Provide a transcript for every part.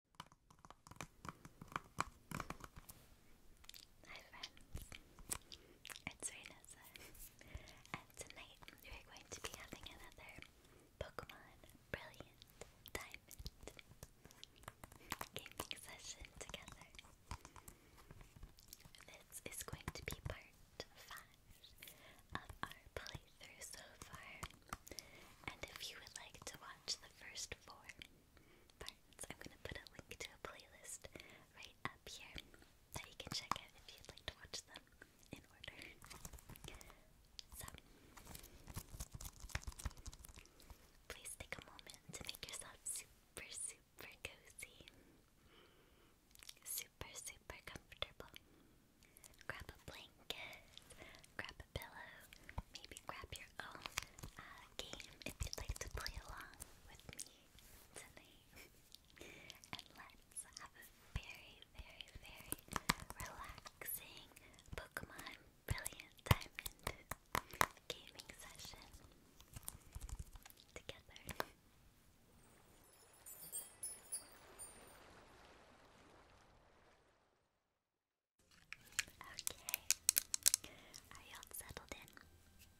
Hi friends, it's Renessa, and tonight we are going to be having another Pokemon Brilliant Diamond gaming session together. This is going to be part 5 of our playthrough so far and if you would like to watch the first four parts, I'm going to put a link to a playlist right up here that you can check out if you'd like to watch them in order. So, please take a moment to make yourself super, super cozy, super, super comfortable. Grab a blanket blanket, grab a pillow, maybe grab your own uh, game if you'd like to play along with me tonight. and let's have a very, very, very relaxing Pokemon Brilliant Diamond gaming session together. Okay. Are y'all settled in?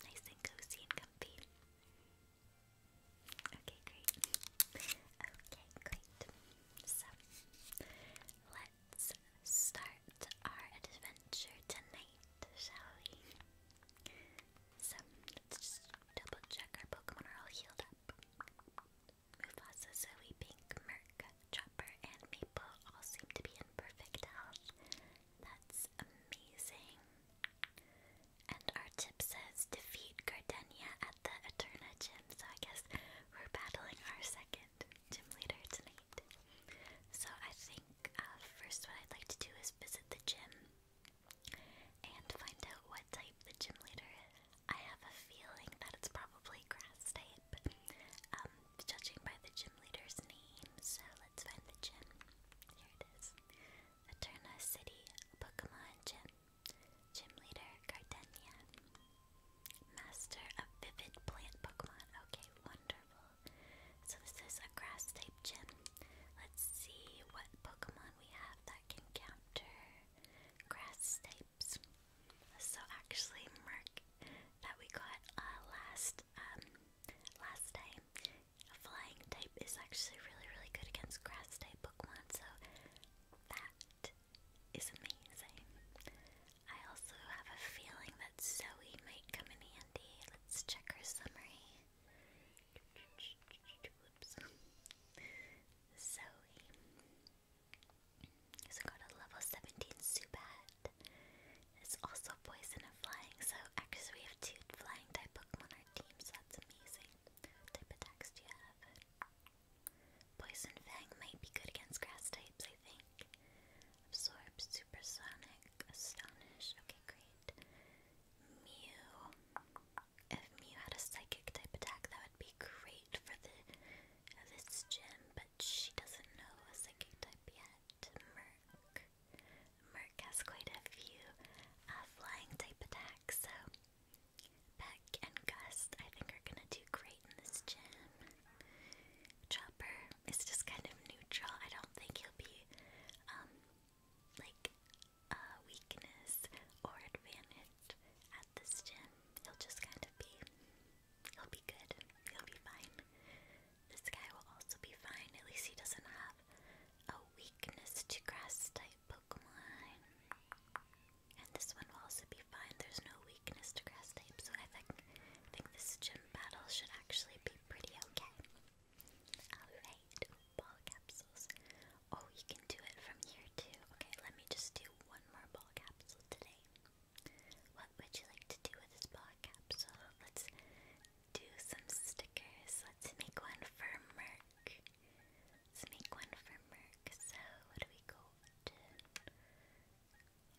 Nice and cozy and comfy? Okay, great. Okay, great. So, let's start our adventure tonight, shall we? So, let's double check our Pokemon are all healed up. Mufasa, Zoe, Pink, Merc, Chopper, and Maple all seem to be in perfect health. That's amazing. And our tip says defeat Gardenia at the Eterna gym, so I guess we're battling our second gym leader tonight. So I think uh, first what I'd like to do is visit the gym and find out what type the gym leader is. I have a feeling that it's probably grass type, um, judging by the gym leader's name, so let's find the gym. Here it is. Eterna City Pokemon Gym. Gym leader Gardenia. Master of Vivid Plant Pokemon. Okay, wonderful. So this is a grass type gym. Let's see what Pokemon we have that can counter grass type. So actually, Merc that we got uh, last um, last time, flying tape is actually really really good against grass type Pokemon. So that is amazing. I also have a feeling that Zoe might come in handy. Let's check her summary. Zoe. So got a level 17 Zubat. It's also poison and flying, so actually we have two flying type Pokemon on our team, that's amazing. type attacks do you have? Poison Fang might be good against grass types, I think. Absorb, Supersonic, Astonish, okay great. Mew. If Mew had a psychic type attack, that would be great for the this gym, she doesn't know a psychic type yet. Merc. Merc has quite a few uh, flying type attacks, so Peck and Gust I think are gonna do great in this gym. Chopper is just kind of neutral. I don't think he'll be um, like a weakness or advantage at this gym. He'll just kind of be He'll be good. He'll be fine. This guy will also be fine. At least he doesn't have a weakness to grass type Pokemon. And this one will also be fine. There's no weakness to grass type, so I think this gym battle should actually be pretty okay. Alright, ball capsules. Oh, you can do it from here too. Okay, let me just do one more ball capsule today. What would you like to do with this block capsule? Let's do some stickers. Let's make one for Merc. Let's make one for Merc. So, what do we go to?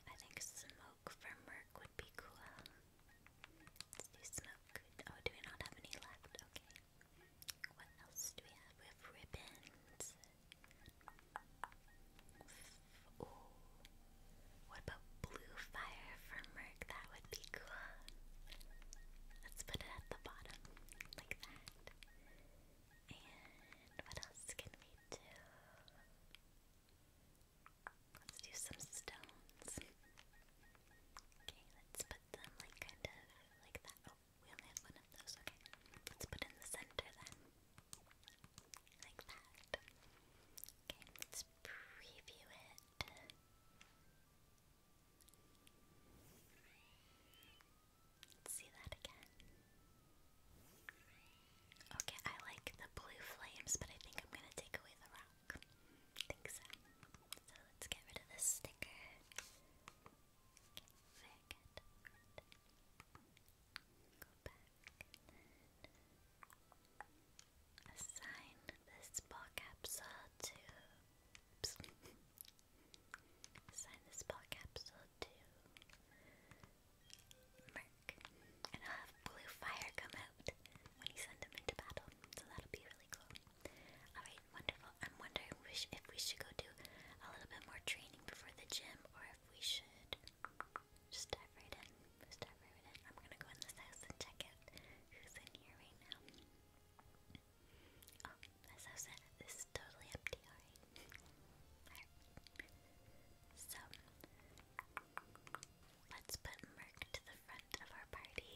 I think smoke for Merc would be cool. Let's do smoke. Oh, do we not have any left? Okay. What else do we have? We have ribbons. Ooh. What about blue fire for Merc? That would be cool. Let's put it at the bottom, like that. And what else can we do? Let's do some stones. Okay, let's put them like kind of like that. Oh, we only have one of those. Okay, let's put in the center then. Like that. Okay, let's preview it. see that again. Okay, I like the blue flames, but I think I'm gonna take away the rock. think so. So let's get rid of this sticker assign this ball capsule to. assign this ball capsule to Merc. And I'll have blue fire come out when you send him into battle, so that'll be really cool. Alright, wonderful. I'm wondering if we should go do a little bit more training before the gym or if we should just dive right in. Just dive right in. I'm gonna go in this house and check out who's in here right now. Oh, this house this is totally empty, alright. So let's put Merc to the front of our party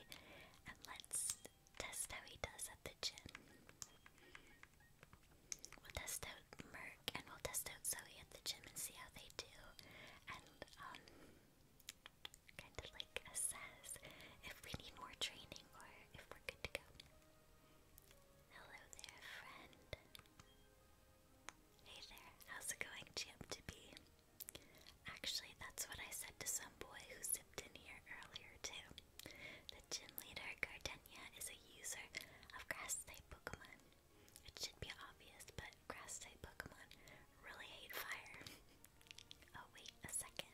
and let's test how he does at the gym. We'll test out Mer and we'll test out Zoe at the gym and see how they do, and um, kind of like assess if we need more training or if we're good to go. Hello there, friend. Hey there, how's it going, champ to be? Actually, that's what I said to some boy who zipped in here earlier, too. The gym leader, Gardenia, is a user of grass type Pokemon. It should be obvious, but grass type Pokemon really hate fire. oh, wait a second.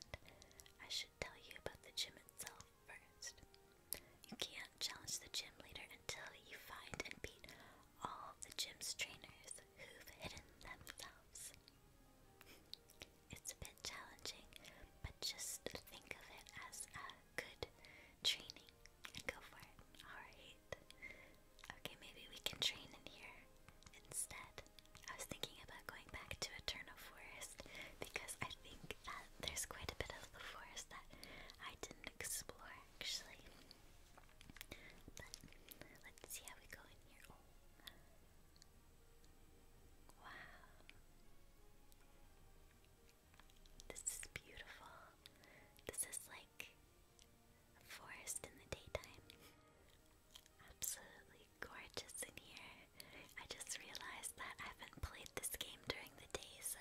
I should tell you about the gym itself first. You can't challenge the gym leader until you find and beat all the gym's trainers who've hidden themselves. It's a bit challenging, but just think of it as a good training. Go for it. Alright. Okay, maybe we can train in here instead. I was thinking about going back to Eternal Forest because I think that uh, there's quite a bit of the forest that I didn't explore actually. But let's see how we go in here. Oh. Wow. This is beautiful. This is like forest in the daytime. Absolutely gorgeous in here. I just realized that I haven't played this game during the day, so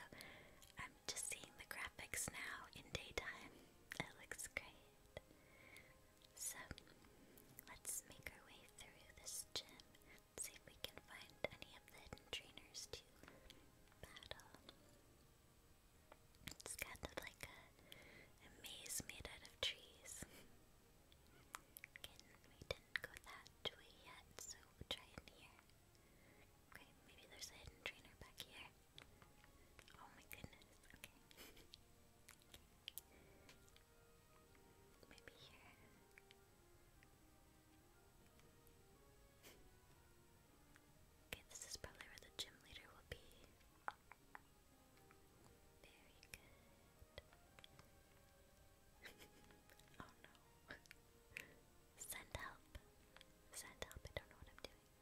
I'm just seeing the graphics now in daytime. It looks great. So, let's make our way through this gym. see if we can find any of the trainers to battle. It's kind of like a, maze made out of trees. we didn't go that way yet, so we'll try in here. Okay, maybe there's a hidden trainer back here. Oh my goodness, okay. Maybe here. Okay, this is probably where the gym leader will be. Very good. oh no. Send help. Send help, I don't know what I'm doing.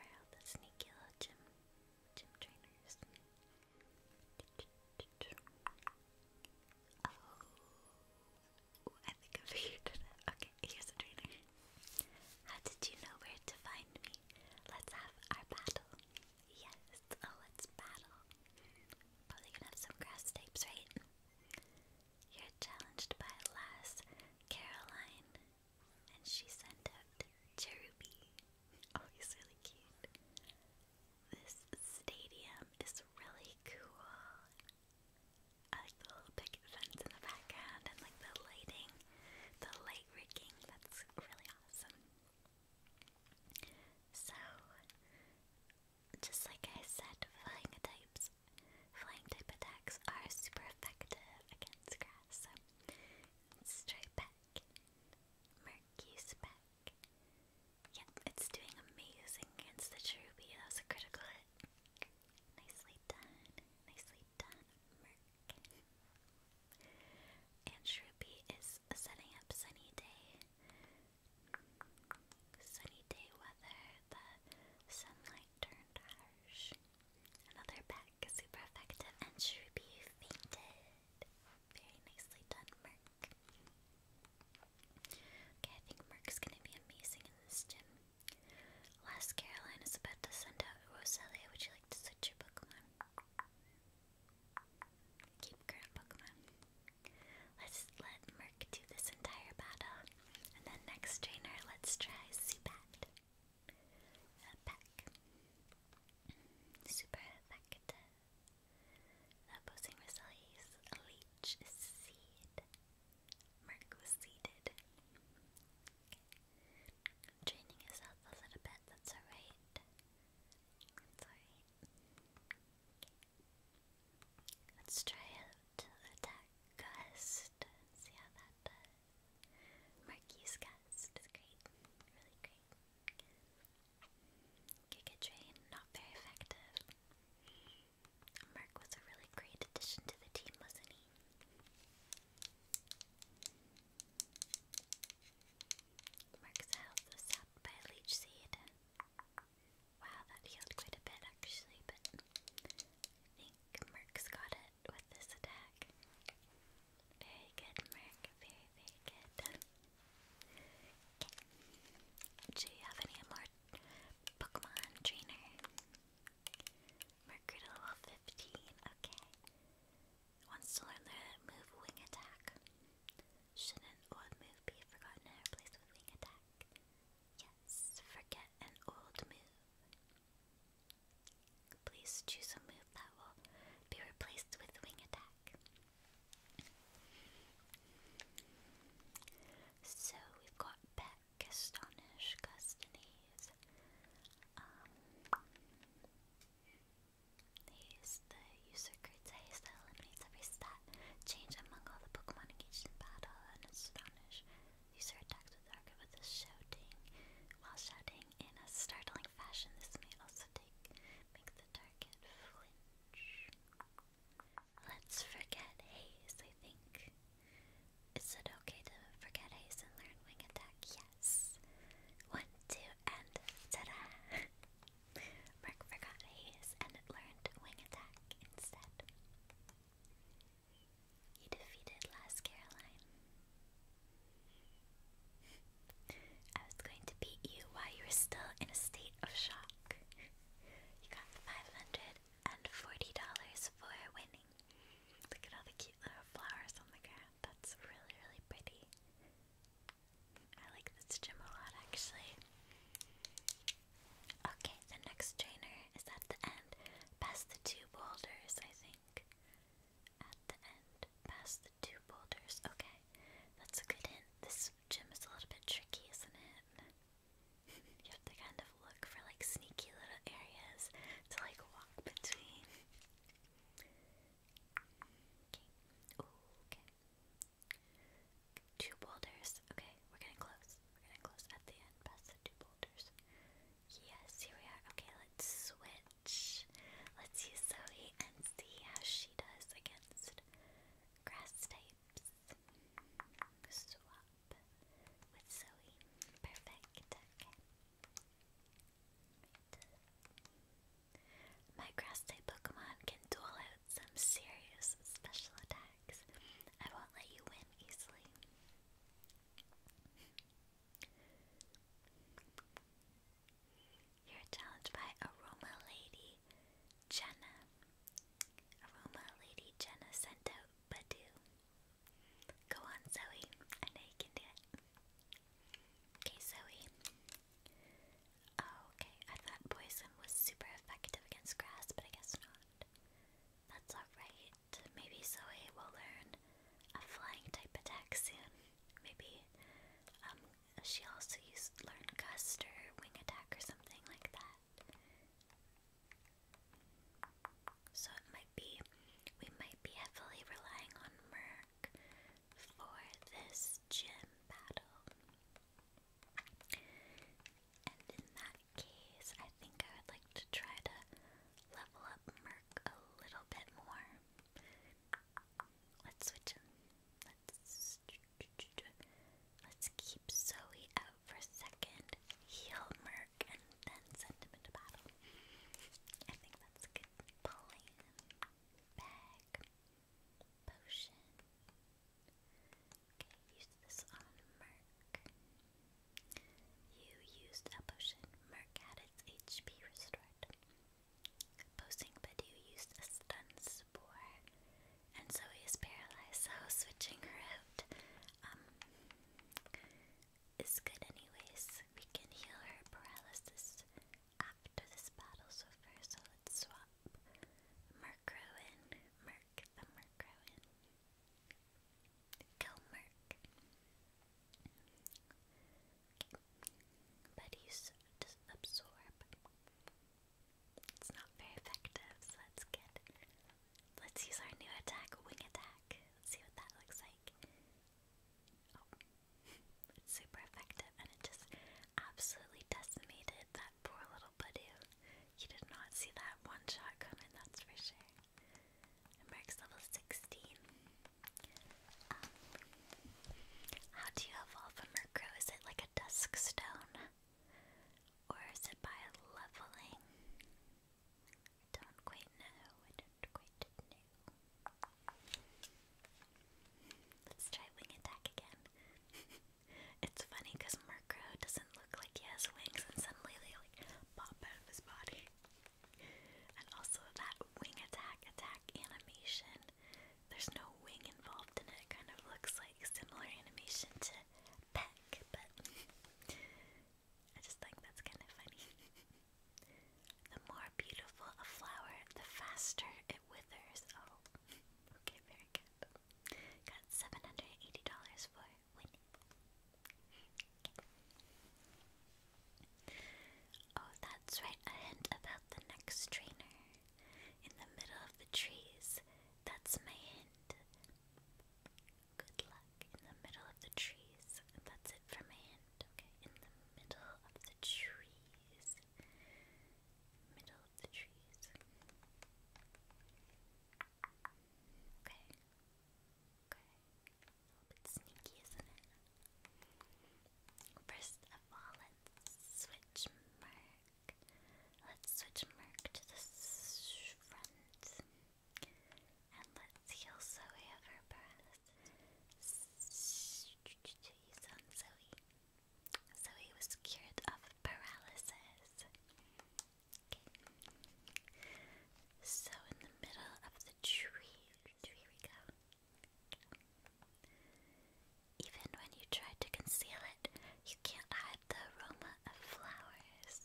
Where are the sneaky little gym gym trainers? Oh. I think I figured Okay, here's a trainer. How did you know where to find me? Let's have our battle. Yes, oh, let's battle. Probably gonna have some grass tapes, right? You're challenged by Lass Caroline, and she sent out Cheruby. Oh, he's really cute. This stadium is really cool. I like the little picket fence in the background and like the lighting, the light rigging. That's really awesome. So, just like I said, flying types, flying type attacks are super effective against grass. So, straight Mercury's back. Yep, it's doing amazing against the Cherubi. That was a critical hit. Nicely done. Nicely done, Merc. And Shroopy is setting up sunny day. Sunny day weather. The sunlight turned harsh. Another pack, super effective. And Shroopy fainted. Very nicely done, Merc. Okay, I think Merc's gonna be amazing in this gym. Last Caroline is about to send out Rosalia. Would you like to switch your Pokemon? Keep current Pokemon. Let's let Merc do this entire battle. And then next trainer, let's try Zubat. Uh, Super effective. The opposing Rosalia's Leech Seed. Merc was seated. Training yourself a little bit, that's alright. That's Let's try out attack gust. See how that does. Marquis gust is great. Really great. Giga Drain, not very effective. Merc was a really great addition to the team, wasn't he? Merc's health was sapped by a leech seed. Wow, that healed quite a bit actually, but I think Merc's got it with this attack. Very good, Merc. Very, very good. Okay. Do you have any more Pokemon trainer? Mercury to level 15, okay. Wants to learn the move Wing Attack. Shouldn't old move be forgotten and with Wing Attack? Yes, forget an old move. Please choose a move that will be replaced with Wing Attack. So we've got Castanish, Castanese. Um, the user creates that eliminates every stat change among all the Pokemon engaged in battle and astonish. User attacks with target with a shouting while shouting in a startling fashion. This may also take make the target flinch. Let's forget haze, I think. Is it okay to forget haste and learn wing attack? Yes. One, two, and ta-da! Merc forgot haste and learned wing attack instead. He defeated last Caroline. I was going to beat you while you were still in a state of shock. You got 500 and $40 for winning. Look at all the cute little flowers on the ground. That's really, really pretty. I like this gym a lot actually. Okay, the next trainer is at the end, past the two boulders, I think. At the end, past the two boulders. Okay, that's a good hint. This gym is a little bit tricky, isn't it? you have to kind of look for like sneaky little areas to like walk between. Two boulders. Okay, we're getting close. We're getting close at the end, past the two boulders. Yes, here we are. Okay, let's switch. Let's use Zoe and see how she does against grass types. Swap. My grass type Pokemon can duel out some serious special attacks. I won't let you win easily. You're challenged by Aroma Lady Jenna. Aroma Lady Jenna sent out Badoo. Go on, Zoe. I know you can do it. Okay, Zoe. Oh, okay. I thought poison was super effective against grass, but I guess not. That's alright. Maybe Zoe will learn a flying type attack soon. Maybe um, she also used learn gust or wing attack or something like that. So it might be, we might be heavily relying on Merk for this gym battle. And in that case, I think I would like to try to level up Merc a little bit more. Let's switch Let's keep Zoe out for a second, heal Merc, then send him into battle. I think that's a good plan. Bag. Potion. Okay, use this on Merc. You used a potion. Merc had its HP restored. Posting Badu used a stun spore. And so he is paralyzed, so switching her out. Um, is good anyways. We can heal her paralysis after this battle's over, so let's swap Murkrow in. the Murkrow Kill Murk. But he's absorb. It's not very effective, so let's get Let's use our new attack, Wing Attack. Let's see what that looks like. Oh, it's super effective, and it just absolutely decimated that poor little Badoo. You did not see that one shot coming, that's for sure. And level 16. Um, how do you evolve a Murkrow? Is it like a Dusk Stone? Or is it by leveling? don't quite know. I don't quite know. Let's try wing attack again. it's funny because Murkrow doesn't look like he has wings, and suddenly they like pop out of his body. And also that wing attack attack animation. There's no wing involved in it. It kind of looks like similar animation to Peck, but I just think that's kind of funny. the more beautiful a flower, the faster it withers. Oh, okay, very good. Got seven hundred eighty dollars for winning. Oh, that's right. A hint about the next trainer in the middle of the trees. That's my hint. Good luck in the middle of the trees. That's it for my Okay, in the middle of the trees. Middle of the trees. Okay. Okay. A little bit sneaky, isn't it? First of all, let's switch Merc. Let's switch Merc to the front. And let's heal Zoe of her breath. You sound Zoe. Zoe was cured of paralysis. So in the middle of the tree, here we go. Even when you try to conceal it, you can't hide the aroma of flowers.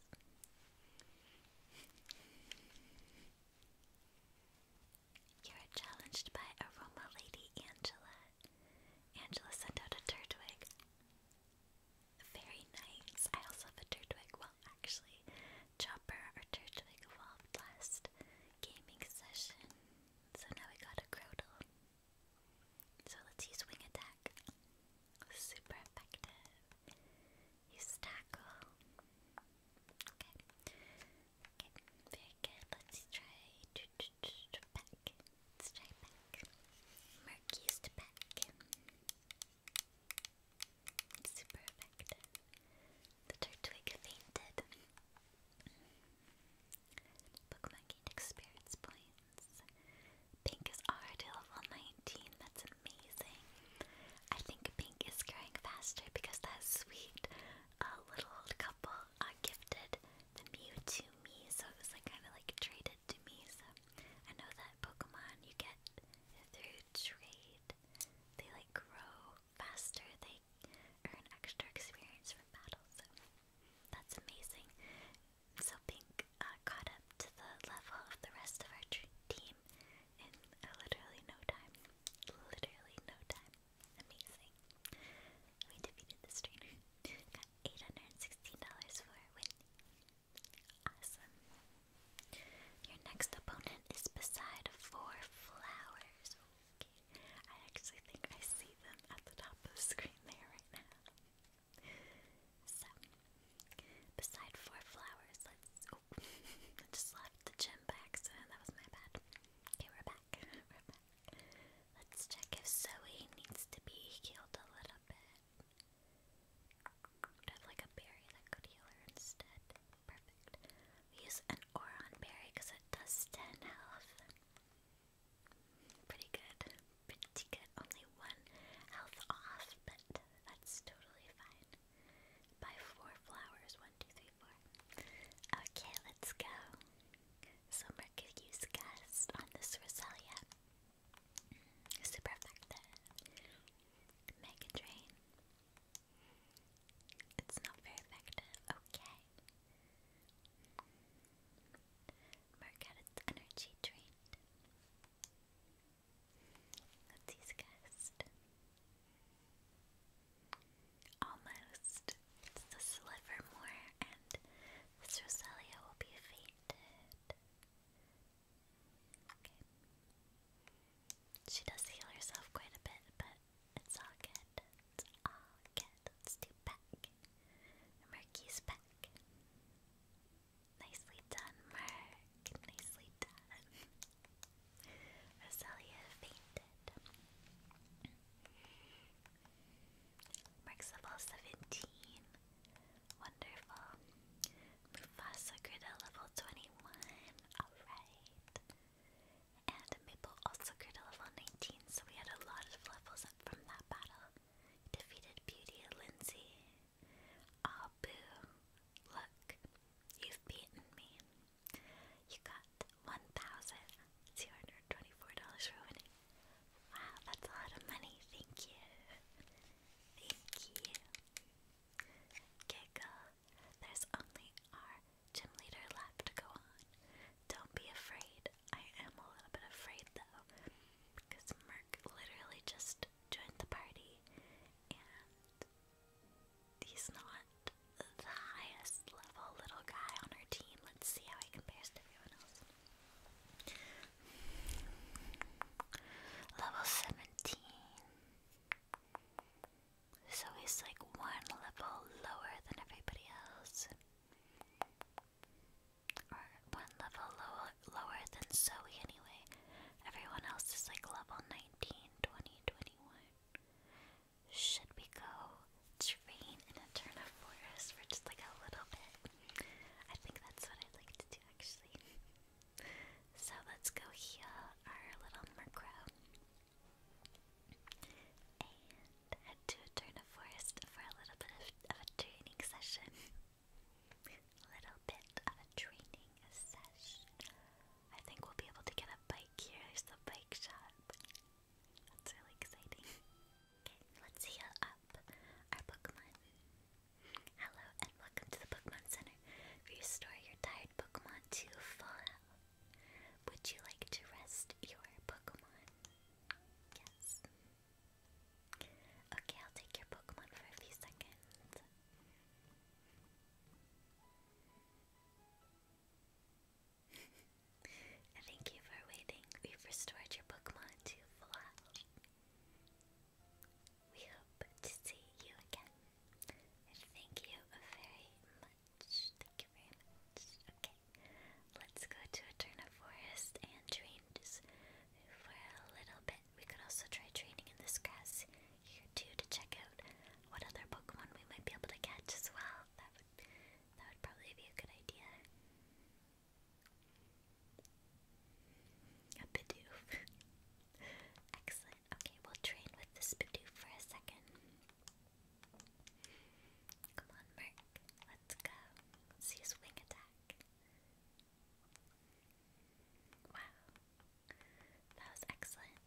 You are challenged by Aroma Lady Angela. Angela sent out a Turtwig. Very nice. I also have a Turtwig. Well, actually, Chopper or Turtwig evolved last gaming session. So now we got a Crotal. So let's use Wing Attack. Super effective. Use tackle. Okay. Okay, very good. Let's try back. Let's try back. Merc used back. Super effective. The Turtwig fainted. Pokemon experience points. Pink is already level 19. That's an amazing. I think Pink is growing faster because that sweet uh, little old couple uh, gifted the Mew to me, so it was like kind of like traded to me. So I know that Pokemon you get through trade, they like grow faster. They earn extra experience from battles. So that's amazing. So Pink uh, caught up to the level of the rest of our team in literally no time. Literally no time. Amazing. We defeated the strainer. Got $816 for a Awesome. Your next opponent is beside four flowers. I actually think I see them at the top of the screen there right now. beside four flowers, I just left the gym by accident. That was my bad. Okay, we're back. we're back. Let's check if Zoe needs to be healed a little bit. have like a berry that could heal her instead. Perfect. use an Oron berry because it does 10 health. Pretty good. Pretty good. Only one health off, but that's totally fine. Buy four flowers. One, two, three, four. Okay, let's go. Summer could use on this Roselia. Super effective. Mega It's not very effective. Okay. Mark energy drain. Let's use guest. Almost. It's the Slivermore, and this will be fainted. Okay. She does heal herself quite a bit, but it's all good. It's all good. Let's do back. Murky's back. Nicely done, Merc. Nicely done. Roselia fainted. Marks 17. Wonderful. Mufasa Grita level 21. Alright. And Maple also grew to level 19, so we had a lot of levels up from that battle. Defeated Beauty, and Lindsay. Aw, ah, Look, you've beaten me. You got one thousand two hundred twenty-four dollars for Wow, that's a lot of money. Thank you. Thank you. Giggle. There's only our gym leader left to go on. Don't be afraid. I am a little bit afraid though, because Merc literally just joined the party and He's not the highest level little guy on our team. Let's see how he compares to everyone else. Level 17. So he's like one level lower than everybody else. Or one level lower, lower than Zoe anyway. Everyone else is like level 19, 20, 21. Should we go train in a turnip forest for just like a little bit? I think that's what I'd like to do actually. So let's go heal our little Murkrow. And head to a turnip forest for a little bit of, of a training session. A little bit of a training session. I think we'll be able to get a bike here. There's the bike shop. That's really exciting. Okay, let's heal up our Pokemon. Hello and welcome to the Pokemon Center. Restore your tired Pokemon to full health. Would you like to rest your Pokemon? Yes. Okay, I'll take your Pokemon for a few seconds. thank you for waiting. We've restored your Pokemon to full health. We hope to see you again. And thank you very much. Thank you very much. Okay, let's go to Eterna Forest and train for a little bit. We could also try training in this grass here too to check what other Pokemon we might be able to catch as well. That would that would probably be a good idea. A Bidoof. Excellent. Okay, we'll train with this Bidoof for a second. Come on, Merc. Let's go. Let's attack. Wow. That was excellent.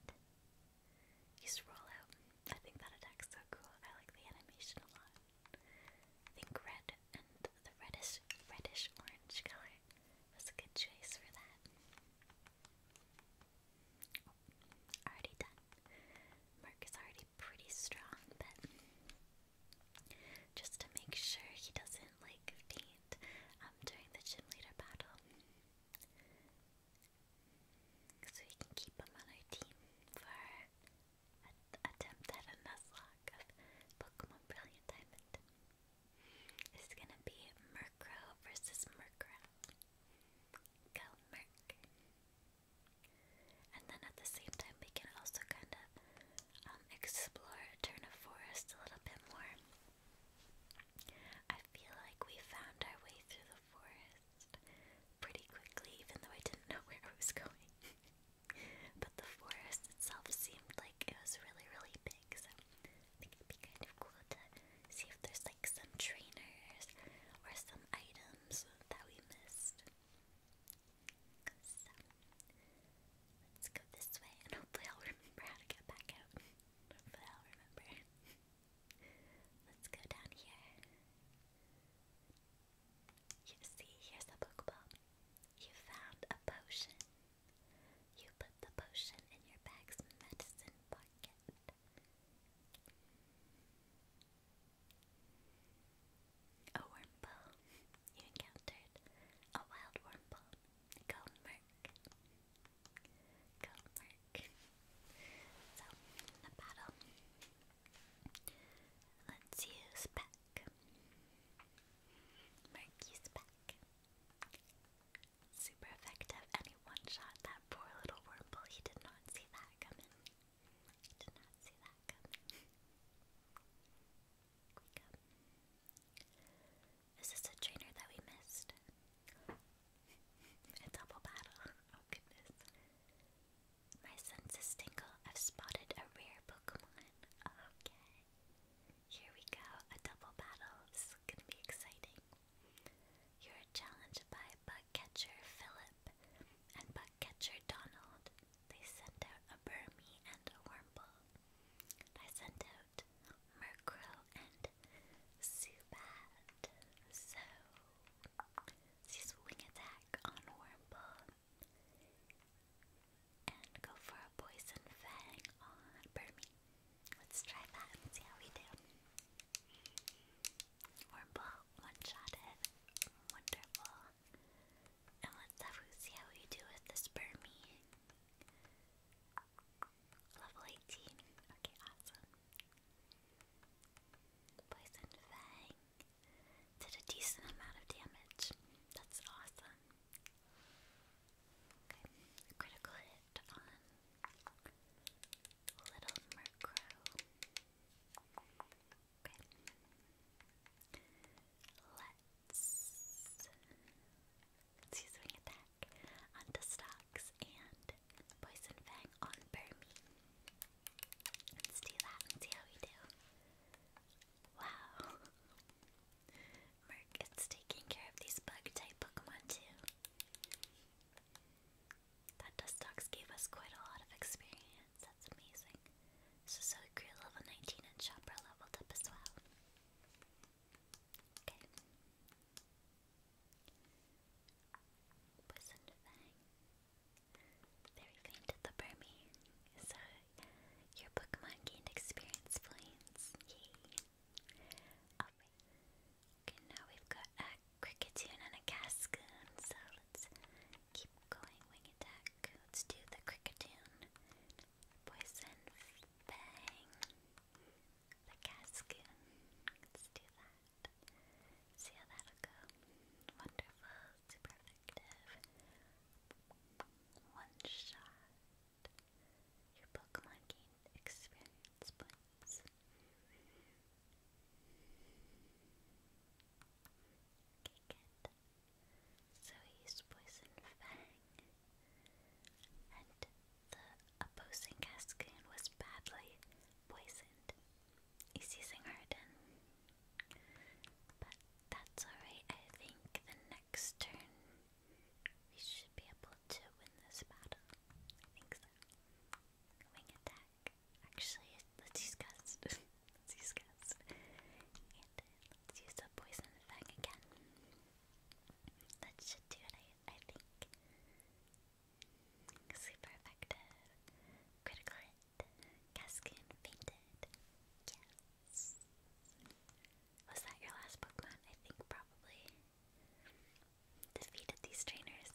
You scroll out. I think that attack's so cool. I like the animation a lot. I think red and the reddish reddish orange color was a good choice for that. Oh, already done. Mark is already pretty strong, but just to make sure he doesn't like faint um, during the gym leader battle. So we can keep them on our team for our attempt at a Nuzlocke of Pokemon Brilliant Diamond. It's gonna be Murkrow versus Murkrow. Go Murk! And then at the same time, we can also kind um, of explore Eterna Forest a little bit more. I feel like we found our way through the forest pretty quickly, even though I didn't know where I was going. but the forest itself seemed like it was really, really big, so I think it'd be kind of cool to see if there's like some trainers or some items that we missed. let's go this way, and hopefully I'll remember how to get back out. hopefully I'll remember. Let's go down here. You see, here's a Pokeball. You found a potion. You put the potion in your bag's medicine pocket. A wormhole. You encountered a wild wormhole. Go merc. Go Merc. So, the battle. Let's use Peck. Merc used Peck. Super effective, and one-shot that poor little wormhole. He did not see that coming. did not see that coming. Quick Is this a trainer that we missed? A double battle. Oh goodness. My senses tingle. I've spotted a rare Pokemon. Okay. Here we go. A double battle. is gonna be exciting. You're challenged by bug Philip and bug Donald. They sent out a Burmy and a Wormble. I sent out Murkrow and Zubat. So Use wing attack on Wurmple. And go for a poison fang on Burmy. Let's try that and see how we do. Wurmple one-shotted. Wonderful. And let's see how we do with this Burmy. Level 18. Okay, awesome. Poison Fang did a decent amount of damage. That's awesome. critical hit on Little Murkrow. Okay. Let's, let's use Wing Attack Stocks and Poison Fang on Burmy. Let's do that and see how we do. Wow. Merc is taking care of these bug type Pokemon too. That Dustox gave us quite a lot of experience. That's amazing. So so it grew level 19 and Chopper leveled up as well. Okay. Poison Fang. Very faint at the Burmy. So your Pokemon gained experience points. Yay. Okay, now we've got a Cricketune and a Cascoon, so let's keep going wing attack. Let's do the Cricketune. Poison Fang. The Cascoon. Let's do that. See how that'll go. Wonderful, super effective. One shot. Your Pokemon gained experience So he used Fang, and the opposing Cascade was badly poisoned. He's using Harden. But that's alright. I think the next turn we should be able to win this battle. I attack. Actually, let's use Gust. let's use uh, let's use the Poison Fang again. That should do it, I think. Super effective. Critical Cascoon fainted. Yes. Was that your last Pokemon? I think probably. Defeated these trainers.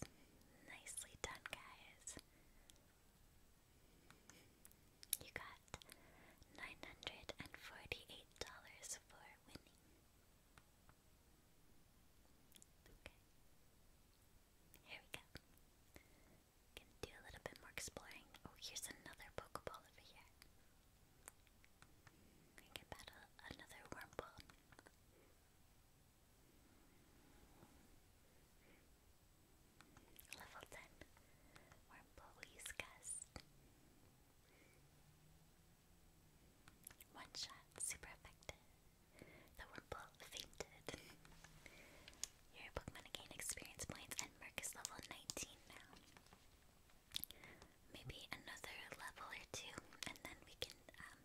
Nicely done, guys. You got $948 for winning. Okay. Here we go. Can do a little bit more exploring. Oh, here's another Pokeball over here. I can battle another Wormhole. Level 10. Wormhole will use One shot, super effective. The Wurmple fainted. Your Pokemon gain experience points and Merc is level 19 now. Maybe another level or two, and then we can um,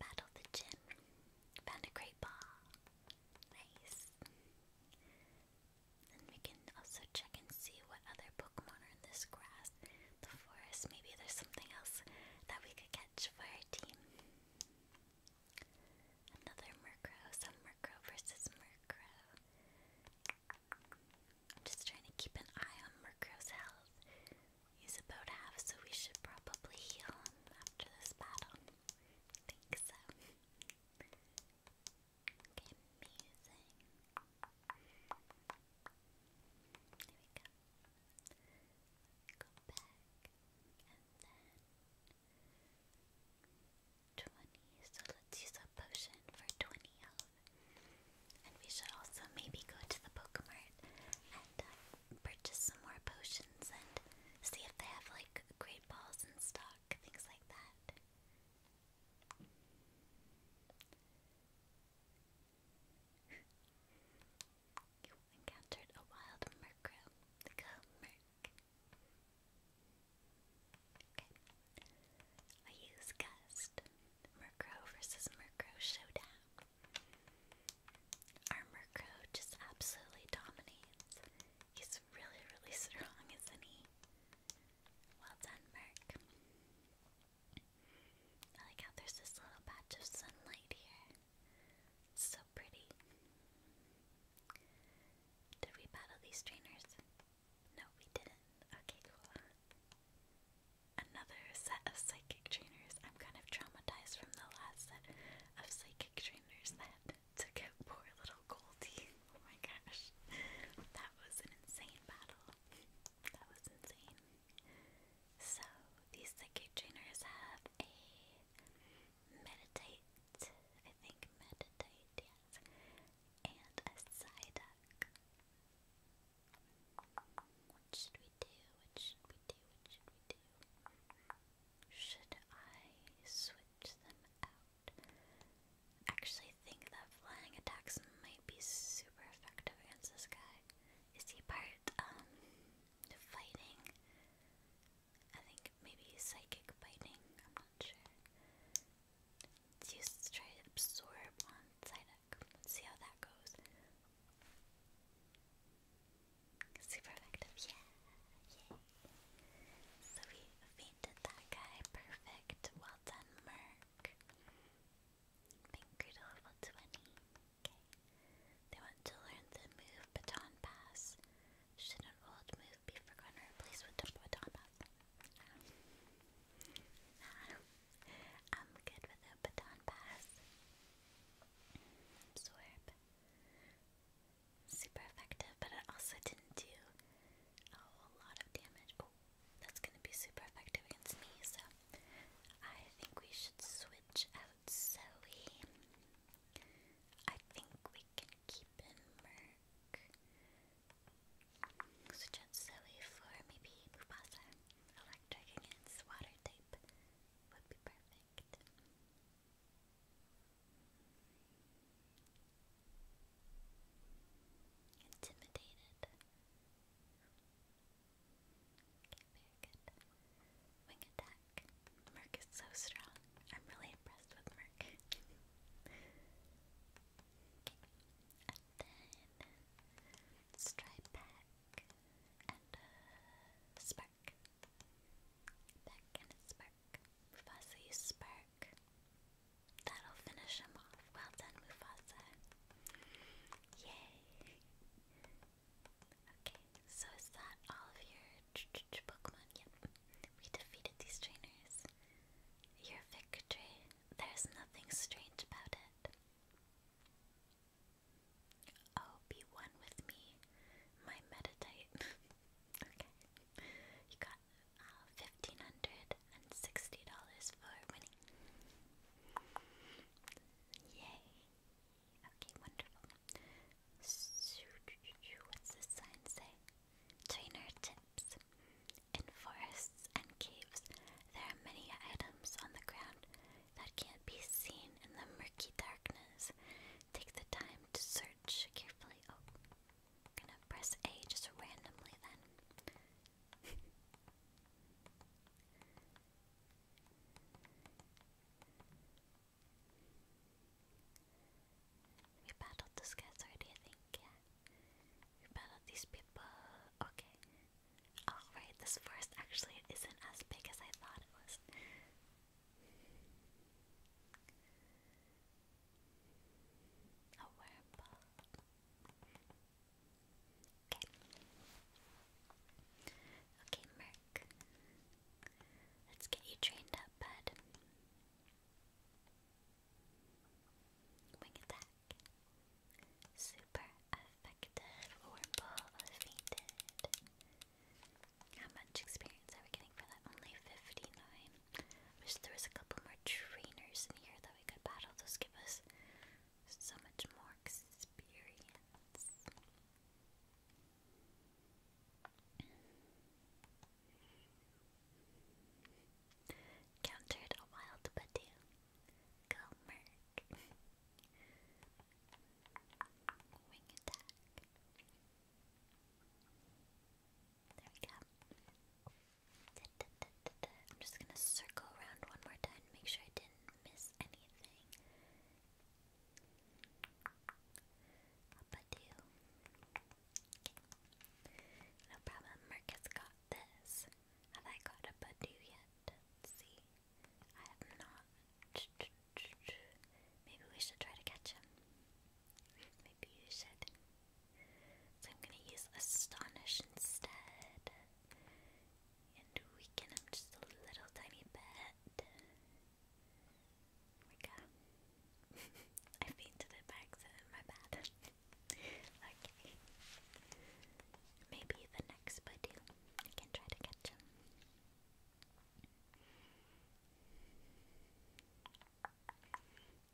battle the gym. Found a great ball. Nice. And we can also check and see what other Pokemon are in this grass, the forest. Maybe there's something else that we could catch for our team. Another Murkrow, some Murkrow versus Murkrow. I'm just trying to keep an eye on Murkrow's health. He's about half, so we should probably heal him after this battle. think so. Okay, amazing. There we go. Go back. 20. So let's use a potion for 20 health. And we should also maybe go to the Pokemart and uh, purchase some more potions and see if they have like great balls in stock, things like that. encountered a wild murkrow. Go murk. Okay. I use gust. Murkrow versus Murkrow showdown. Our Murkrow just absolutely dominates. He's really, really strong, isn't he? Well done, Murk. I like how there's this little patch of sunlight here. So pretty. Did we battle these trainers? No, we didn't. Okay, cool. Another set of psychic trainers. I'm kind of traumatized from the last set of psychic trainers that took out poor little Goldie. Oh my gosh. That was an insane battle. That was insane. So these psychic trainers have a meditate, I think meditate, yes, and a Psyduck. What should we do? What should we do? What should we do? Should I switch them out? Actually, think that flying attacks might be super effective against this guy. Is he part um fighting. I think maybe psychic fighting. I'm not sure. It's try absorb on Psyduck. see how that goes. Super effective, yeah, yeah. So we fainted that guy, perfect. Well done, Merc. Been good Okay. They want to learn the move baton pass. Should an old move be forgotten or replaced with the baton pass? Um, I'm good with a baton pass. Swerp. Super effective, but it also didn't do a whole lot of damage. Oh, that's gonna be super effective against me, so I think we should switch out Zoe. I think we can keep in Merc. Suggest Zoe for maybe Mufasa. Electric against water type would be perfect. Intimidated. very good. Wing attack. Merc is so strong. I'm really impressed with Merc. and then and uh, Spark. Pack and Spark. Mufasa used Spark. That'll finish him off. Well done, Mufasa. Yay! Okay, so is that all of your ch -ch -ch Pokemon? Yep, we defeated these trainers. Your victory, there's nothing strange about it. Oh, be one with me, my Meditite. okay, you got uh, fifteen hundred and sixty dollars for winning. Yay! Okay, wonderful. What's this sign say? Trainer tips. In forests and caves, there are many items on the ground that can't be seen in the murky darkness. Take the time to search carefully. Oh, I'm gonna press A just randomly then. We battled those guys already, I think, yeah. We battled these people. Okay. Alright, this forest actually isn't as big as I thought it was. Okay. Okay, Merc. Let's get you trained up, bud. Wing attack. Super effective. Wurmple fainted. How much experience are we getting for that? Only 59. Wish there was a couple more trainers in here that we could battle. Those give us so much more experience. Countered a wild Badoo. Go Wing attack. There we go. I'm just gonna circle around one more time, make sure I didn't miss anything. Papadoo. Okay. No problem, Marcus got this. Have I got a Badoo yet? see. I have not. Maybe we should try to catch him. Maybe you should. So I'm gonna use Astonish instead. And weaken him just a little tiny bit. Like, uh, I've to the back, so my bad. okay. Maybe the next buddy I can try to catch him.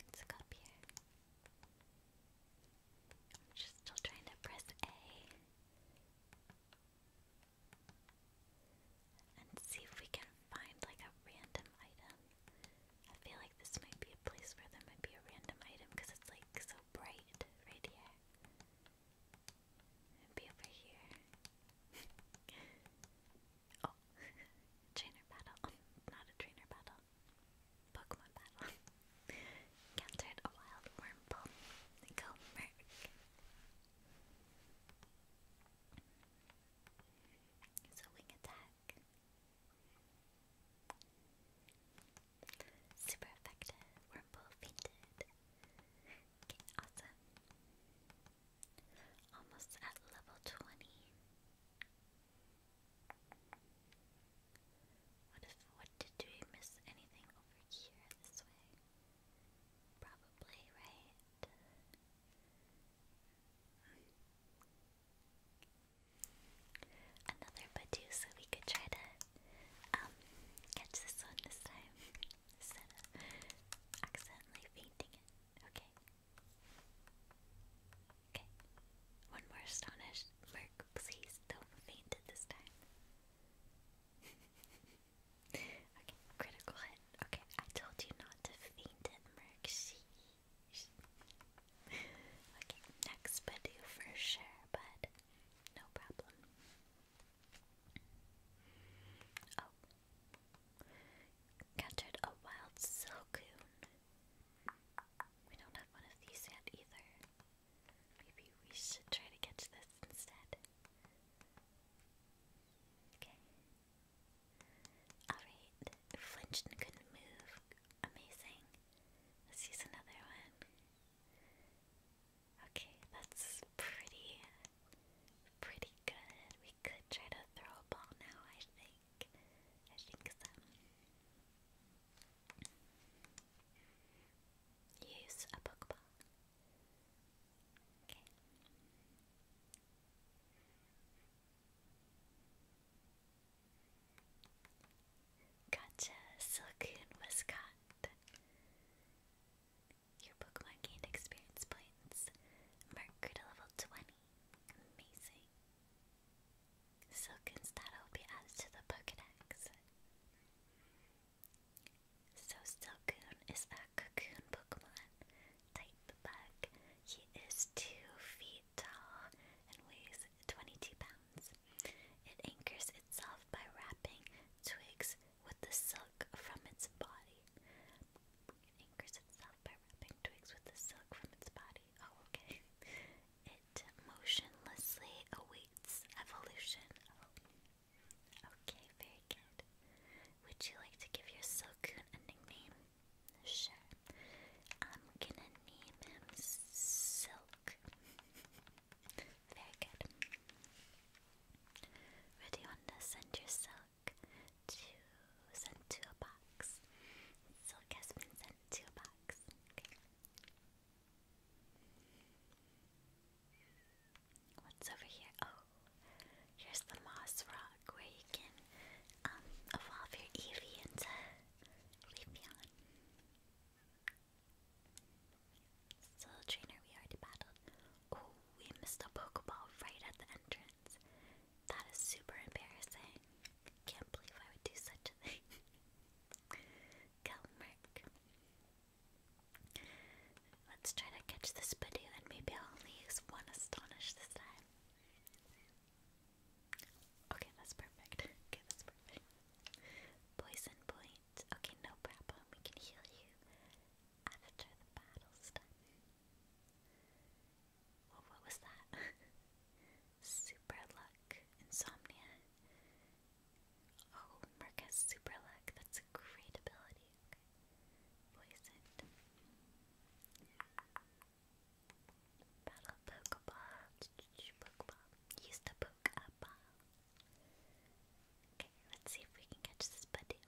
Let's go here. I'm just still trying to press A and see if we can find like a random item. I feel like this might be a place where there might be a random item because it's like so bright right here. be over here. oh, trainer battle. Not a trainer battle. Pokemon battle. Encountered a wild wormhole. Go Merc. It's a wing attack. Super effective. Wurmple fainted. Okay, awesome. Almost at level 20. What if, what did, did we miss anything over here this way? Probably, right? Another Badoo, so we could try to um, catch this one this time instead of accidentally fainting Okay. Okay. One more astonished Merc, please don't faint this time. Okay, critical hit. Okay, I told you not to faint at Mercy. okay, next Badoo for sure, but no problem. Oh. Captured a wild silcoon. We don't have one of these yet either. Maybe we should try to catch this instead. Okay. Alright, flinched and couldn't move. Amazing. Let's use another one. Okay, that's pretty, pretty good. We could try to throw a ball now, I think. I think so. Use a Pokeball. Okay. Gotcha, Silcoon was caught. Your Pokemon gained experience points. Mercury to level 20. Amazing. Silcoon's data be added to the Pokedex. So Silcoon is a cocoon Pokemon type bug. He is 2 feet tall and weighs 22 pounds. It anchors itself by wrapping twigs with the silk from its body. It anchors itself by wrapping twigs with the silk from its body. Oh, okay. It motionlessly awaits evolution. Okay, would you like to give your Silcoon a nickname? Sure. I'm gonna name him Silk. very good. Where you want to send your Silk? To send to a box. Silk has been sent to a box. What's over here? Oh, Here's the moss rock where you can um, evolve your Eevee into Leafeon. Soul Trainer we already battled. Oh, we missed a Pokeball right at the entrance. That is super embarrassing. Can't believe I would do such a thing. Kelmerk. Let's try to catch this Badoo and maybe I'll only use one Astonish this time. Okay, that's perfect. Okay, that's perfect. Poison point. Okay, no problem. We can heal you after the battle's what was that? super luck. Insomnia. Oh, Merc has super luck. That's a great ability. Poisoned. Battle Pokeball. Use the Pokeball. Okay, let's see if we can catch this buddy.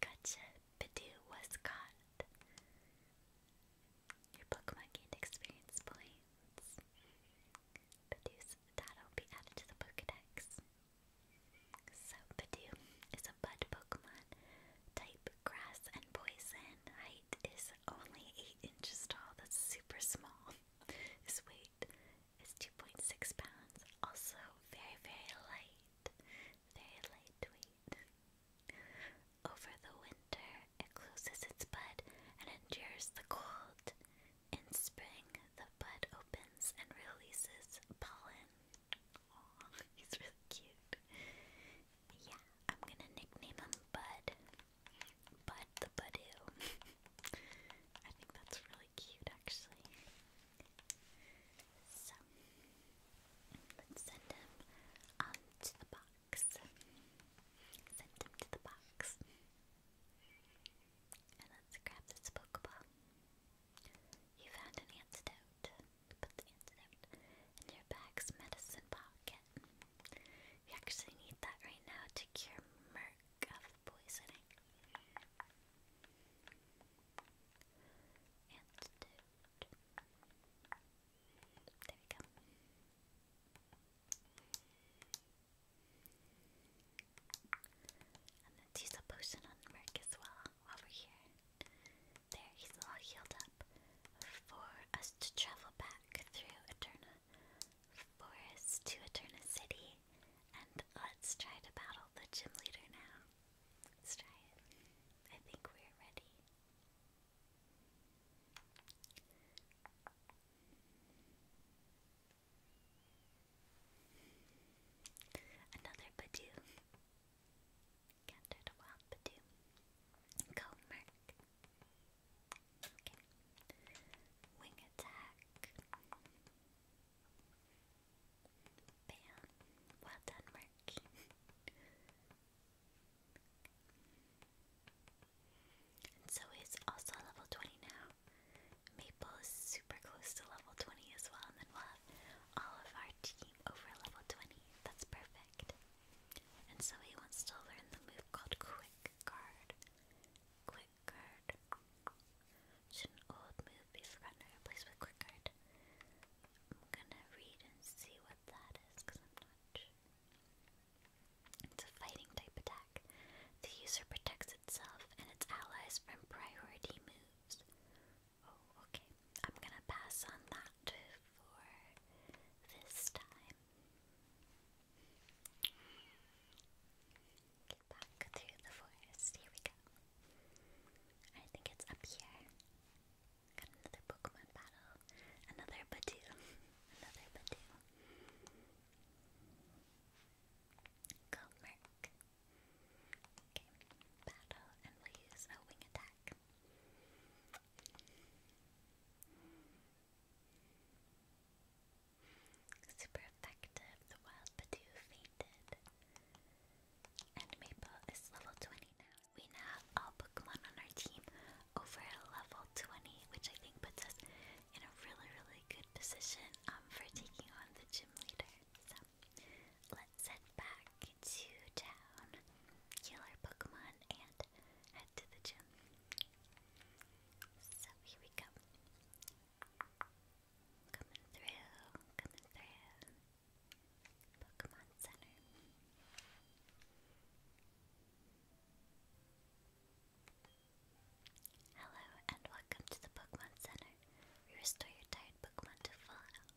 Gotcha. Bidoo was caught. Your Pokemon gained experience points. Bidoo's that'll be added to the Pokedex. Zapdoom is a bud Pokemon. Type grass and poison. Height is only 8 inches tall. That's super small. His weight is 2.6 pounds. Also, very, very light. Very lightweight. Over the winter, it closes its bud and endures the cold. In spring, the bud opens and releases pollen. he's really cute. Yeah, I'm gonna nickname him Bud. Bud the Budoo. I think that's really cute, actually. So, let's send him to the box. Send him to the box. And let's grab this Pokeball. You found an antidote. Put the antidote in your bag's medicine pocket. We actually need that right now to cure Merc of poisoning. Antidote. There we go. And let's a potion on Mark as well while here. There, he's all healed up. For us to travel back through Eterna Forest to Eterna City. And let's try to battle the gym leader now. Let's try it. I think we're ready. Another Badoo. Countered a wild Badoo. Go, Merc. Wing attack. Bam. Well done, Merc. and so is also level 20 now. Maple's super close to level 20 as well, and then we'll have all of our team over level 20. That's perfect. And so he wants to learn the move called Quick Guard. Quick Guard. Should an old move be forgotten or replaced with Quick Guard? I'm gonna read and see what that is, because I'm not It's a fighting type attack. The user protects itself and its allies from priority moves. Oh, okay. I'm gonna pass on that for this time. Get back through the forest. Here we go. I think it's up here. Got another Pokemon battle. Another Badoo. another Badoo. Go, Merc. Okay, battle, and we'll use a wing attack. Super effective, the wild Badoo fainted. And Maple is level 20 now. We now have all Pokemon on our team over level 20, which I think puts us in a really, really good position um, for taking on the gym leader. So let's head back to town, kill our Pokemon, and head to the gym. So here we go. Coming through, coming through. Pokemon Center. Hello and welcome to the Pokemon Center. We restore your tired Pokemon to full health.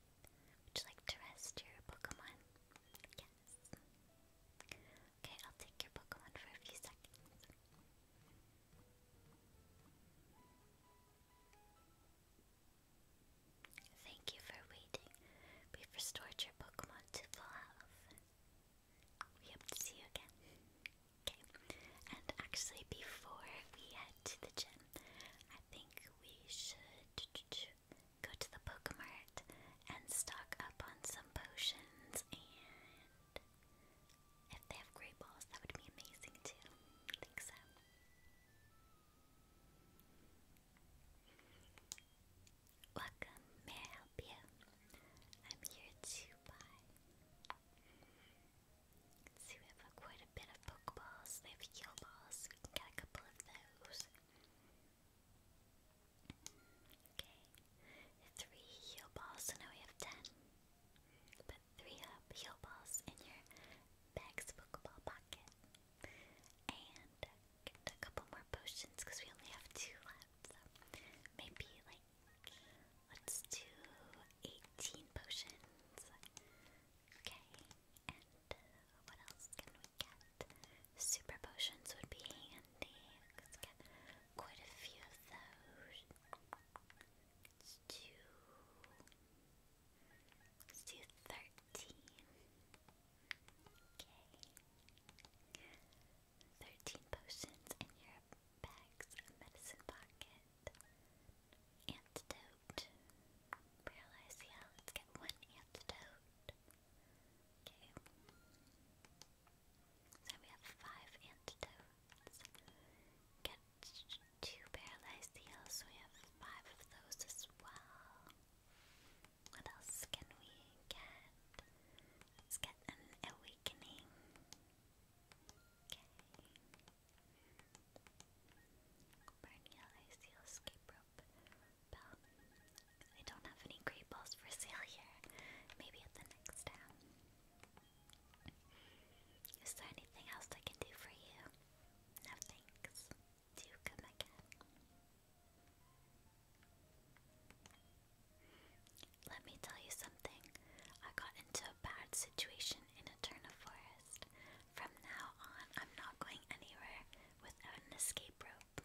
Would you like to rest your Pokemon? Yes. Okay, I'll take your Pokemon for a few seconds. Thank you for waiting. We've restored your Pokemon to full health. We hope to see you again. Okay. And actually, before we head to the gym, I think we should go to the Pokemart and stock up on some potions. And if they have great balls, that would be amazing too. I think so. Welcome, may I help you? I'm here to buy. So we have quite a bit of Pokeballs. They have Heal Balls. We can get a couple of those. Okay. Three Heal Balls. So now we have ten. Put three Heal Balls in your bag's Pokeball pocket. And get a couple more potions because we only have two left. maybe like Let's do 18 potions. Okay, and uh, what else can we get? Super potions would be handy. Let's get quite a few of those. Let's do. Let's do 13. Okay. 13 potions in your bag's medicine pocket. Antidote. Paralyze, yeah, let get one antidote. Okay. So we have five antidotes. Get two paralyzed heals, so we have five of those as well. What else can we get? Let's get an awakening. Okay. I don't have any great balls for sale here. Maybe at the next town. Is there anything else I can do for you? No thanks. Do come again. Let me tell you something. I got into a bad situation in a Eterna Forest forest. From now on, I'm not going anywhere without an escape rope.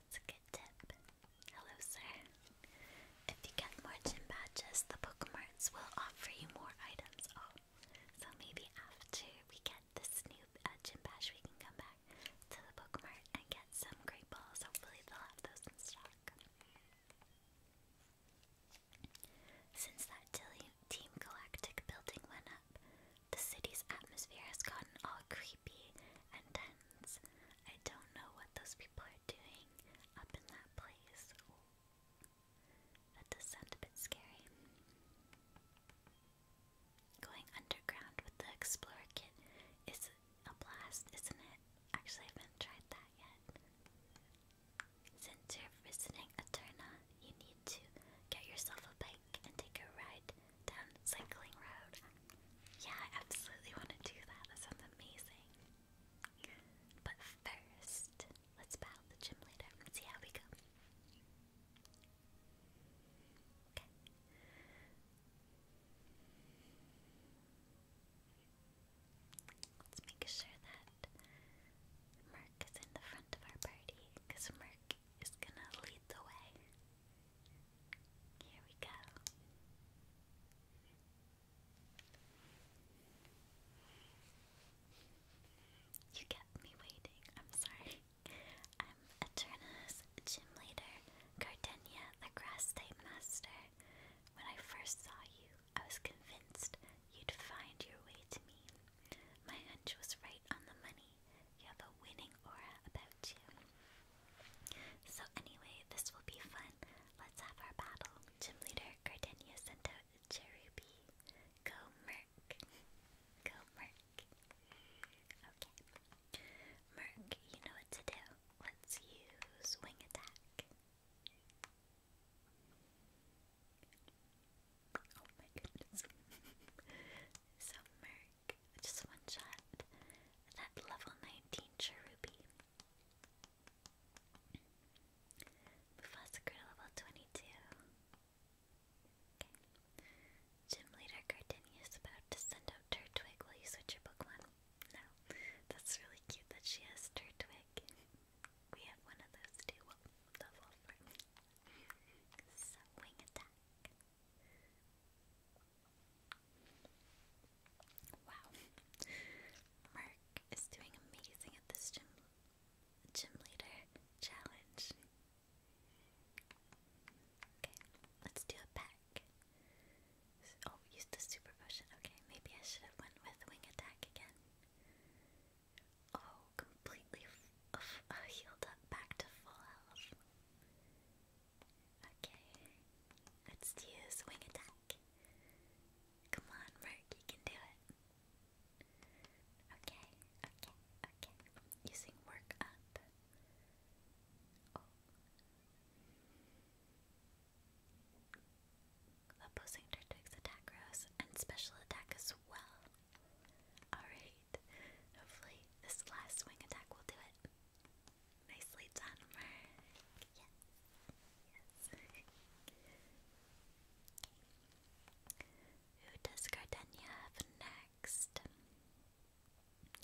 That's a good tip. Hello, sir. If you get more gym badges, the Pokemarts will offer you more items. Oh, so maybe after we get this new uh, gym badge, we can come back to the Pokemart and get some great balls. Hopefully, they have those in stock. Since that Team Galactic building went up, the city's atmosphere has gotten all creepy and dense. I don't know what those people are doing up in that place. That does sound a bit scary. Going underground with the Explorer Kit is a blast, isn't it? Actually, I haven't tried that yet. Since you're you need to get yourself a bike and take a ride down the Cycling Road. Yeah, I absolutely want to do that. That sounds amazing. But first, let's battle the gym leader and see how we go. Okay. Let's make sure that Merc is in the front of our party, because Merc is gonna lead the way. Here we go. You kept me waiting, I'm sorry. I'm Eternus, gym leader, the grass type master. When I first saw you, I was convinced you'd find your way to me. My hunch was right on the money. You have a winning aura about you. So, anyway, this will be fun. Let's have our battle. Gym leader Gardenia sent out a Cherubi. Go, Merc. Go, Merc. Okay. Merc, you know what to do. Let's use Wing Attack. Oh my goodness. so Merc, just one shot. That level 19 Cherubi. Mufasa Girl level 22. Okay. Gym leader Gardenia about to send out Turtwig. Will you switch your Pokemon? No. That's really cute that she has her twig we have one of those too. Well, the so, wing attack. Wow. Merc is doing amazing at this gym, gym leader challenge. Okay, let's do a pack. Oh, use the super potion. Okay, maybe I should have went with wing attack again. Oh, completely f f uh, healed up back to full health. Okay, let's do swing attack. Come on, Merc, you can do it. Okay, okay, okay. Using work up. Oh. Opposing Turtwig's attack grows and special attack as well. Alright. Hopefully this last swing attack will do it. Nicely done, Yes. Yes. Who does Gardenia have next?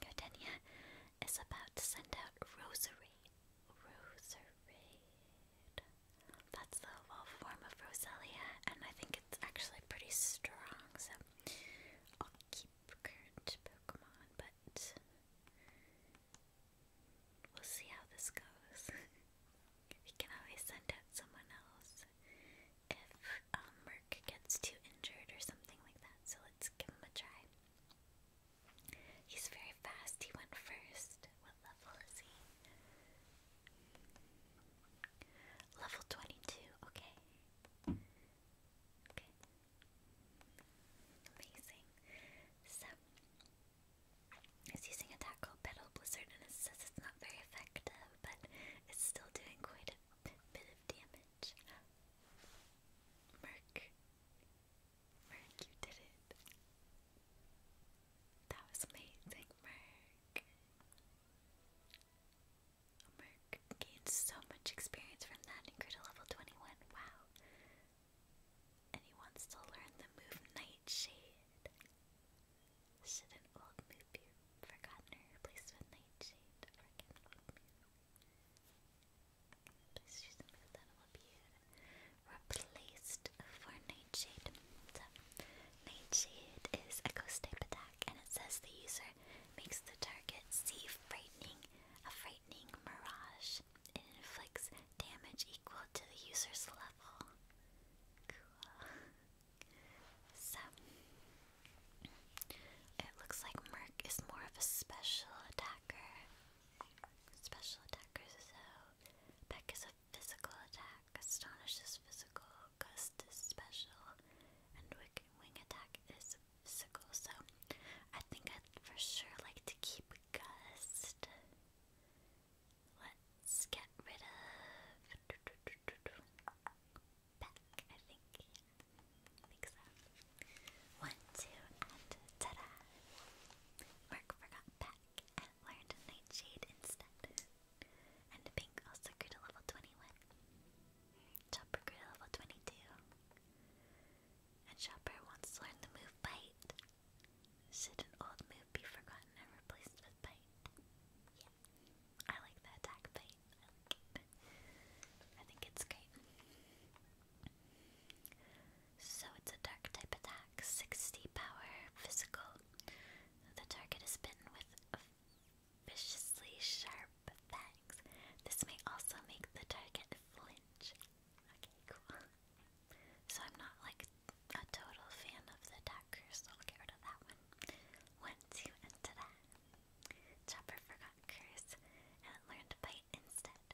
Gardenia is about to send out Rosary. Rosary. That's the evolved form of Roselia, and I think it's actually pretty strong, so I'll keep current Pokemon, but we'll see how this goes. we can always send out someone else if um, Merc gets too injured or something like that, so let's give him a try. He's very fast, he went first. What level is he? Level 22, okay. Okay. Amazing. So, it's using a tackle pedal blizzard and it says it's not very effective, but it's still doing quite a bit of damage. Merc. Merc, you did it. That was amazing, Merc. Merc gained so much experience from that and level 21. Wow. And he wants to learn the move Nightshade. Should an old move be forgotten or replaced with Nightshade? replaced for Nightshade. Nightshade is a ghost type attack, and it says the user makes the target see frightening a frightening mirage. It inflicts damage equal to the user's level. Cool. So, it looks like Merc is more of a special attacker. Special attacker, so Beck is a physical attack. Astonishes physical, gust special, and wing attack is physical. So I think I'd for sure like to keep gust. Let's get rid of back. I think, think so. One, two, and ta-da! Mark forgot back and learned Nightshade instead. And Pink also grew to level 21. Chopper grew to level 22. And Chopper wants to learn the move Bite. Should an old move be forgotten and replaced with Bite? Yeah. I like the attack Bite. I think it's great. So it's a dark type attack, 60 power, physical, the target is bitten with viciously sharp fangs. This may also make the target flinch. Okay, cool. So I'm not like a total fan of the daggers, so I'll get rid of that one. One, two, and to that. Chopper forgot curse, and learned bite instead.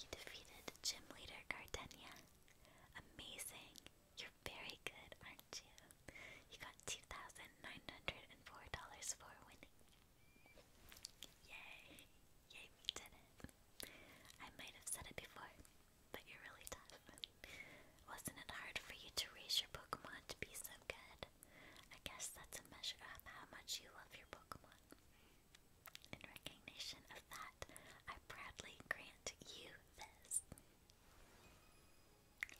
You defeated Gym Leader Gardenia. Amazing. You're very good, aren't you? You got $2,904 for winning. Yay. Yay, we did it. I might have said it before, but you're really tough. Wasn't it hard for you to raise your Pokemon to be so good? I guess that's a measure of how much you love your Pokemon. In recognition of that, I proudly grant you this.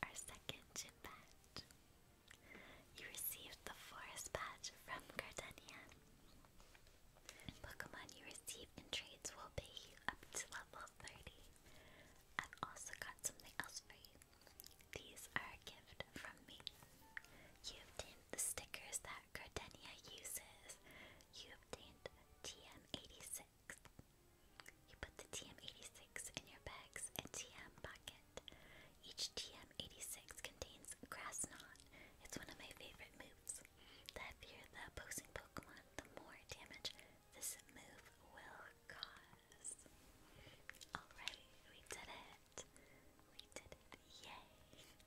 Our second gym badge. You received the forest badge from Gardenia. Pokemon you receive in trades will pay up to level 30. I've also got something else for you. These are a gift from me. You obtained the stickers that Gardenia uses. You obtained TM86. You put the TM86 in your bag's TM pocket. Each TM86 contains Grass Knot. It's one of my favorite moves. The heavier the opposing Pokemon, the more damage this move will cause. Alright, we did it. We did it. Yay. Yay.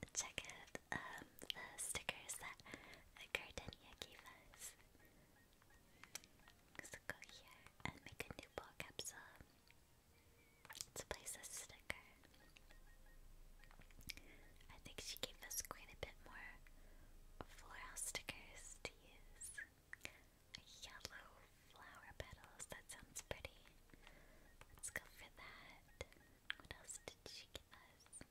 Let's check out um, the stickers that Gardenia gave us. So go here and make a new ball capsule. Let's place a sticker. I think she gave us quite a bit more floral stickers to use. Yellow flower petals, that sounds pretty. Let's go for that. What else did she give us?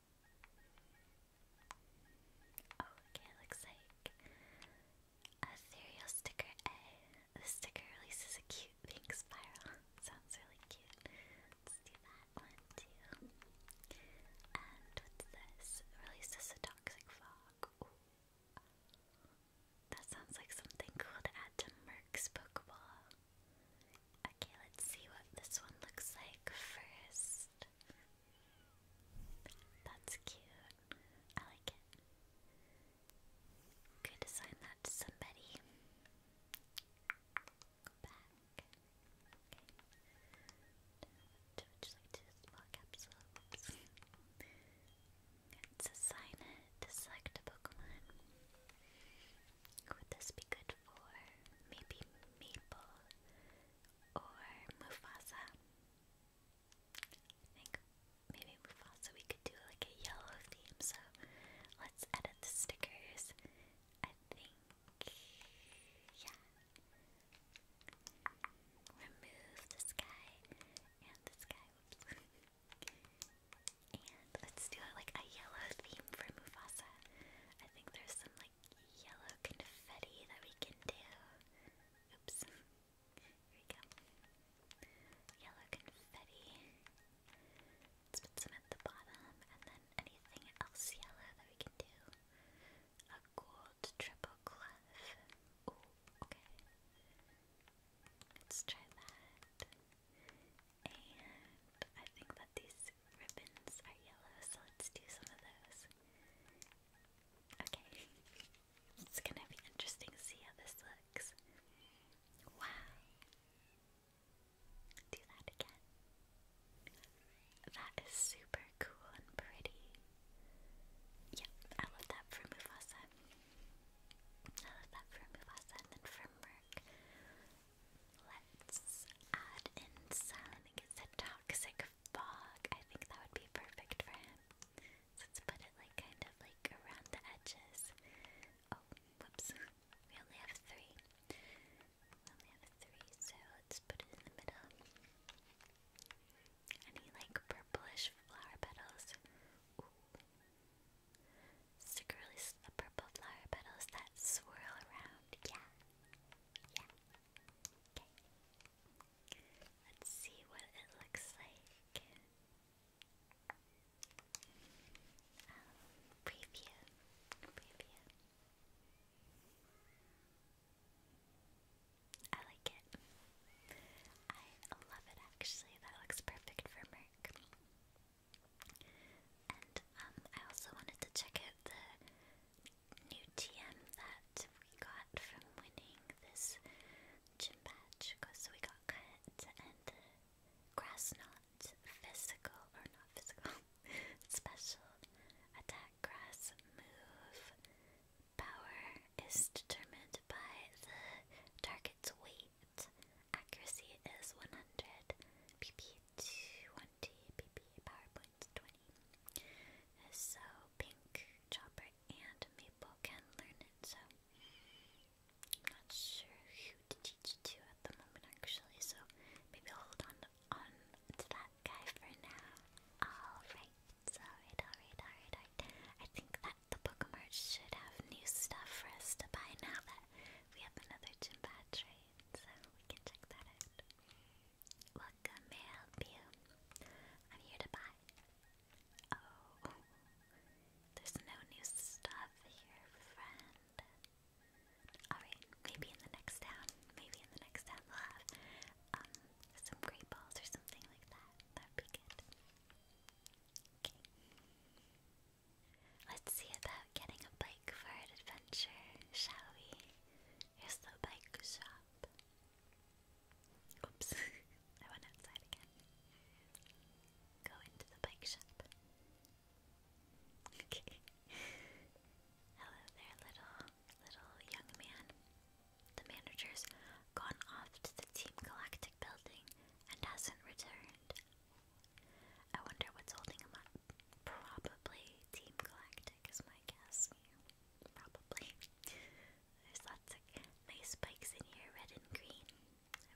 Oh, okay, looks like a cereal sticker A. The sticker releases a cute pink spiral. sounds really cute. Let's do that one too. And what's this? Releases a toxic fog. That sounds like something cool to add to Merc's Pokeball. Okay, let's see what this one looks like first. That's cute. I like it. Could assign that to somebody. It's a sign it to select a Pokemon. Would this be good for maybe Maple or Mufasa? I think maybe Mufasa we could do like a yellow theme, so let's edit the stickers. I think yeah. Remove this guy and this guy. And let's do like a yellow theme for Mufasa. I think there's some like yellow confetti that we can do. Oops. Here we go. Yellow confetti. put some at the bottom and then anything else yellow that we can do. A gold triple clef. Ooh, okay. Let's try that. And I think that these ribbons are yellow, so let's do some of those. Okay. It's gonna be interesting to see how this looks. Wow. Do that again. That is super cool and pretty. Yep, I love that for Mufasa. How is that for Mufasa? And then for Merc, let's add in Sun. I a toxic fog. I think that would be perfect for him. let's put it like kind of like around the edges. Oh, whoops. We only have three. We only have three, so let's put it in the middle. Any like purplish flower petals. Sucralose, a purple flower petals that swirl around. Yeah. Yeah. Okay. Let's see what it looks like. Um, preview. Preview. I like it. I love it actually. That looks perfect for Merc. And um, I also wanted to check out the new TM that we got from winning this gym badge. So we got cut and the grass knot physical, or not physical, special attack grass move. Power is determined by the target's weight. Accuracy is 100. PP 20. PP PowerPoint's 20. So Pink, Chopper, and Maple can learn it. So not sure who to teach to at the moment, actually. So maybe I'll hold on on to that guy for now. alright, alright, alright, alright. I think that the bookmart should have new stuff for us to buy now that we have another gym badge, right? So we can check that out. Welcome, may I am here to buy. Oh, there's no new stuff here, friend. Alright, maybe in the next town. Maybe in the next town they'll have um, some great balls or something like that. That'd be good. Okay. Let's see about getting a bike for an adventure, shall we? Here's the bike shop. Oops, I went outside again. Go into the bike shop. Hello there, little, little young man. The manager's gone off to the Team Galactic building and hasn't returned. I wonder what's holding him up. Probably Team Galactic is my guess. probably. There's lots of nice spikes in here, red and green.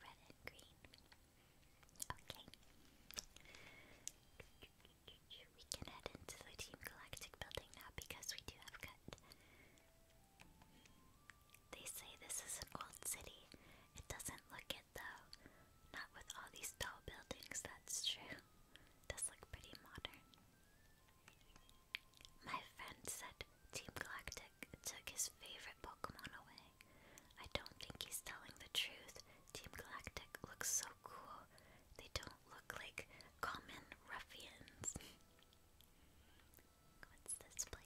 Red and green. Okay. We can head into the Team Galactic building now because we do have cut. They say this is an old city. It doesn't look it though. Not with all these tall buildings, that's true. does look pretty modern. My friend said Team Galactic took his favorite Pokemon away. I don't think he's telling the truth. Team Galactic looks so cool. They don't look like common ruffians. What's this place?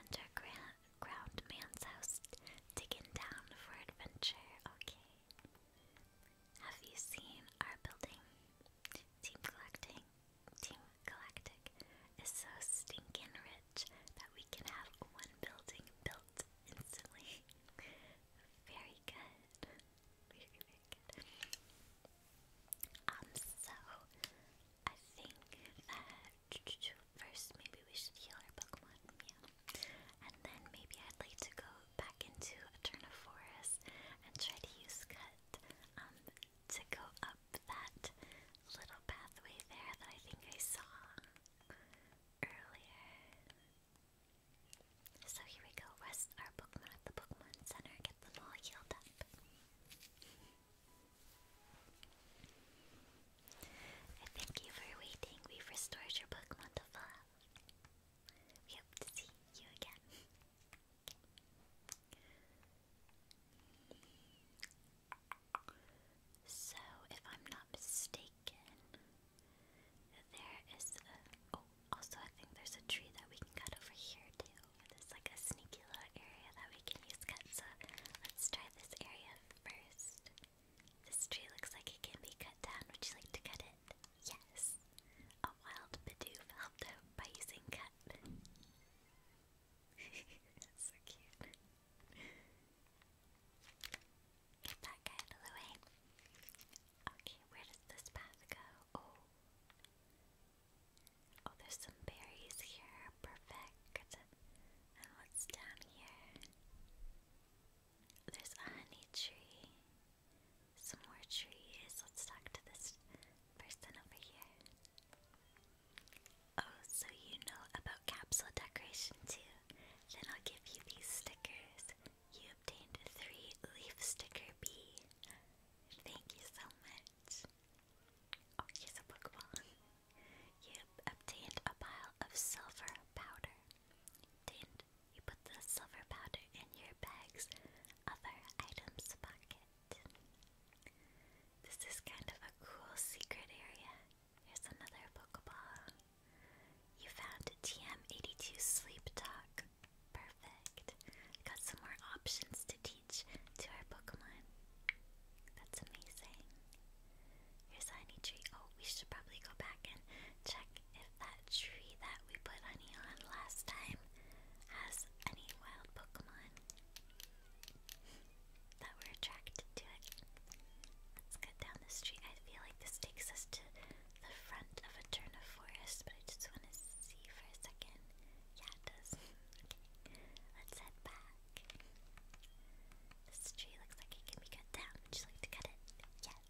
Underground man's house. Digging down for adventure. Okay. Have you seen our building? Team collecting. Team Galactic is so stinking rich that we can have one building built instantly. very good. Very, very good. Um, so I think that First, maybe we should heal our Pokemon, yeah. And then maybe I'd like to go back into Eterna Forest and try to use Cut um, to go up that little pathway there that I think I saw earlier. So here we go, rest our Pokemon at the Pokemon Center, get them all healed up thank you for waiting. We've restored your book, to We hope to see you again. So, if I'm not mistaken, there is Oh, also, I think there's a tree that we can cut over here too. It's like a sneak rectangular area that we can use cuts. Uh, let's try this area first. This tree looks like it can be cut down. Would you like to cut it? Yes. A wild Bidoof helped out by using cut. so cute. Get that out of the way. Okay, where does this path go? Oh. Oh, there's some berries here. Perfect. And what's down here? There's a honey tree. Some more trees. Let's talk to this person over here. Oh, so you know about capsule decoration too. Then I'll give you these stickers. You obtained three leaf sticker bee. Thank you so much. Oh, here's a Pokeball. You obtained a pile of silver powder. Obtained, you put the silver powder in your bag's other items pocket. This is kind of a cool secret area. Here's another Pokeball. You found TM82 Sleep Talk. Perfect. Got some more options to teach to our Pokemon. That's amazing. Here's honey tree. Oh, we should probably go back and check if that tree that we put honey on last time has any wild Pokemon that were attracted to it. Let's cut down this tree. I feel like this takes us to the front of a turn of forest, but I just want to see for a second. Yeah, it does. okay. Let's head back. This tree looks like it can be cut down. Would like to cut it? Yes.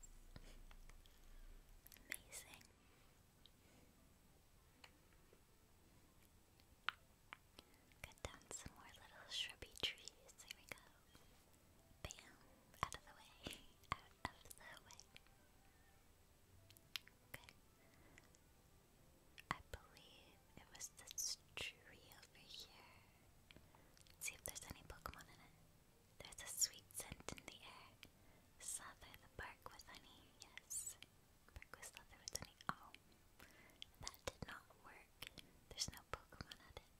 Amazing. Cut down some more little shrubby trees. There we go. Bam! Out of the way. Out of the way. Okay. I believe it was this tree over here. see if there's any Pokemon in it. There's a sweet scent in the air. Slather the bark with honey. Yes. Bark with slather with honey. Oh. That did not work. There's no Pokemon at it.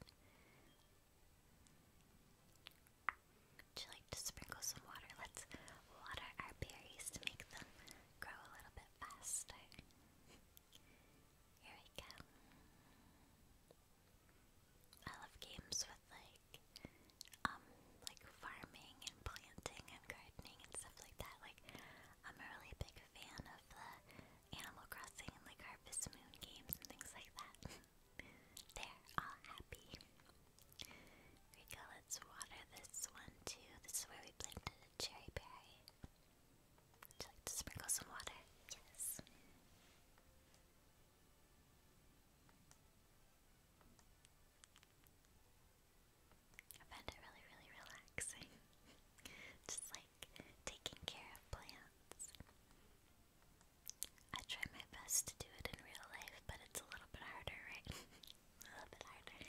Would you like to sprinkle some water? Let's water our berries to make them grow a little bit faster. Here we go. I love games with like um like farming and planting and gardening and stuff like that. Like I'm a really big fan of the Animal Crossing and like Harvest Moon games and things like that. They're all happy. Here we go, let's water this one too. This is where we planted a cherry berry. Would you like to sprinkle some water? Yes. I find it really, really relaxing. Just like taking care of plants. I try my best to do it in real life, but it's a little bit harder, right? a little bit harder.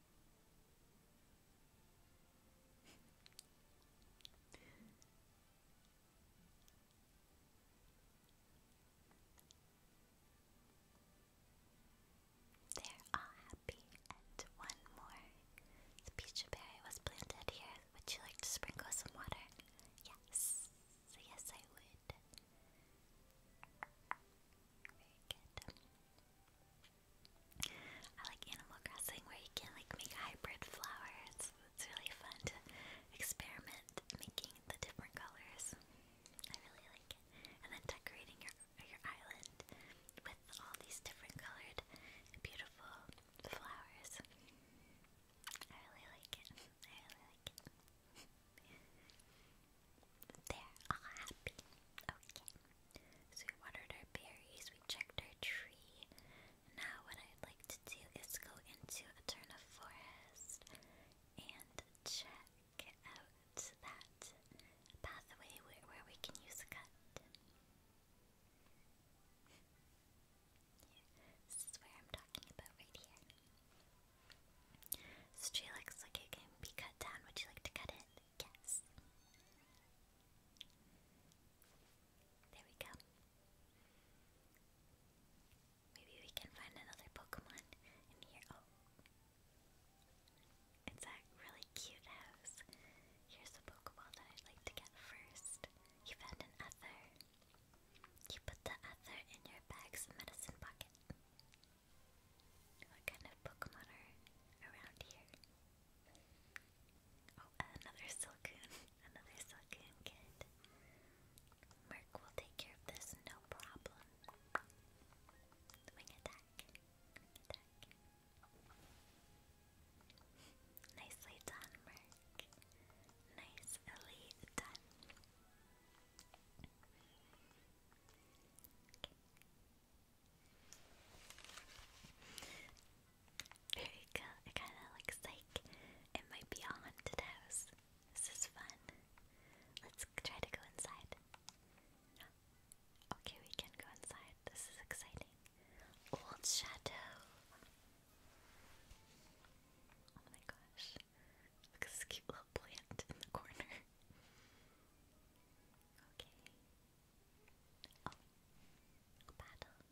They're all happy, and one more. peach berry was planted here. Would you like to sprinkle some water? Yes, yes, I would. Very good. I like Animal Crossing where you can like make hybrid flowers. It's really fun to experiment making the different colors. I really like it. And then decorating your your island with all these different colored beautiful flowers. I really like it. I really like it. They're all happy. Okay. So we watered our berries, we checked our tree. Now what I'd like to do is go into Eterna Forest and check out that pathway where, we can use cut. this is where I'm talking about right here. This tree looks like it can be cut down. Would you like to cut it? guess. There we go. Maybe we can find another Pokemon in here. Oh. It's a really cute house. Here's a Pokeball that I'd like to get first. You found an Ether. You put the Ether in your bag's medicine pocket. What kind of Pokemon are around here? Oh, another Silcoon. Another Silcoon kid. Merc will take care of this, no problem. Wing attack. attack. Nicely done, Merc. Nice elite done. There you go. It kind of looks like it might be a haunted house. This is fun. Let's try to go inside. Okay, we can go inside. This is exciting. Old Chateau. Oh my gosh. Look at this cute little plant in the corner. Okay. Oh, battle.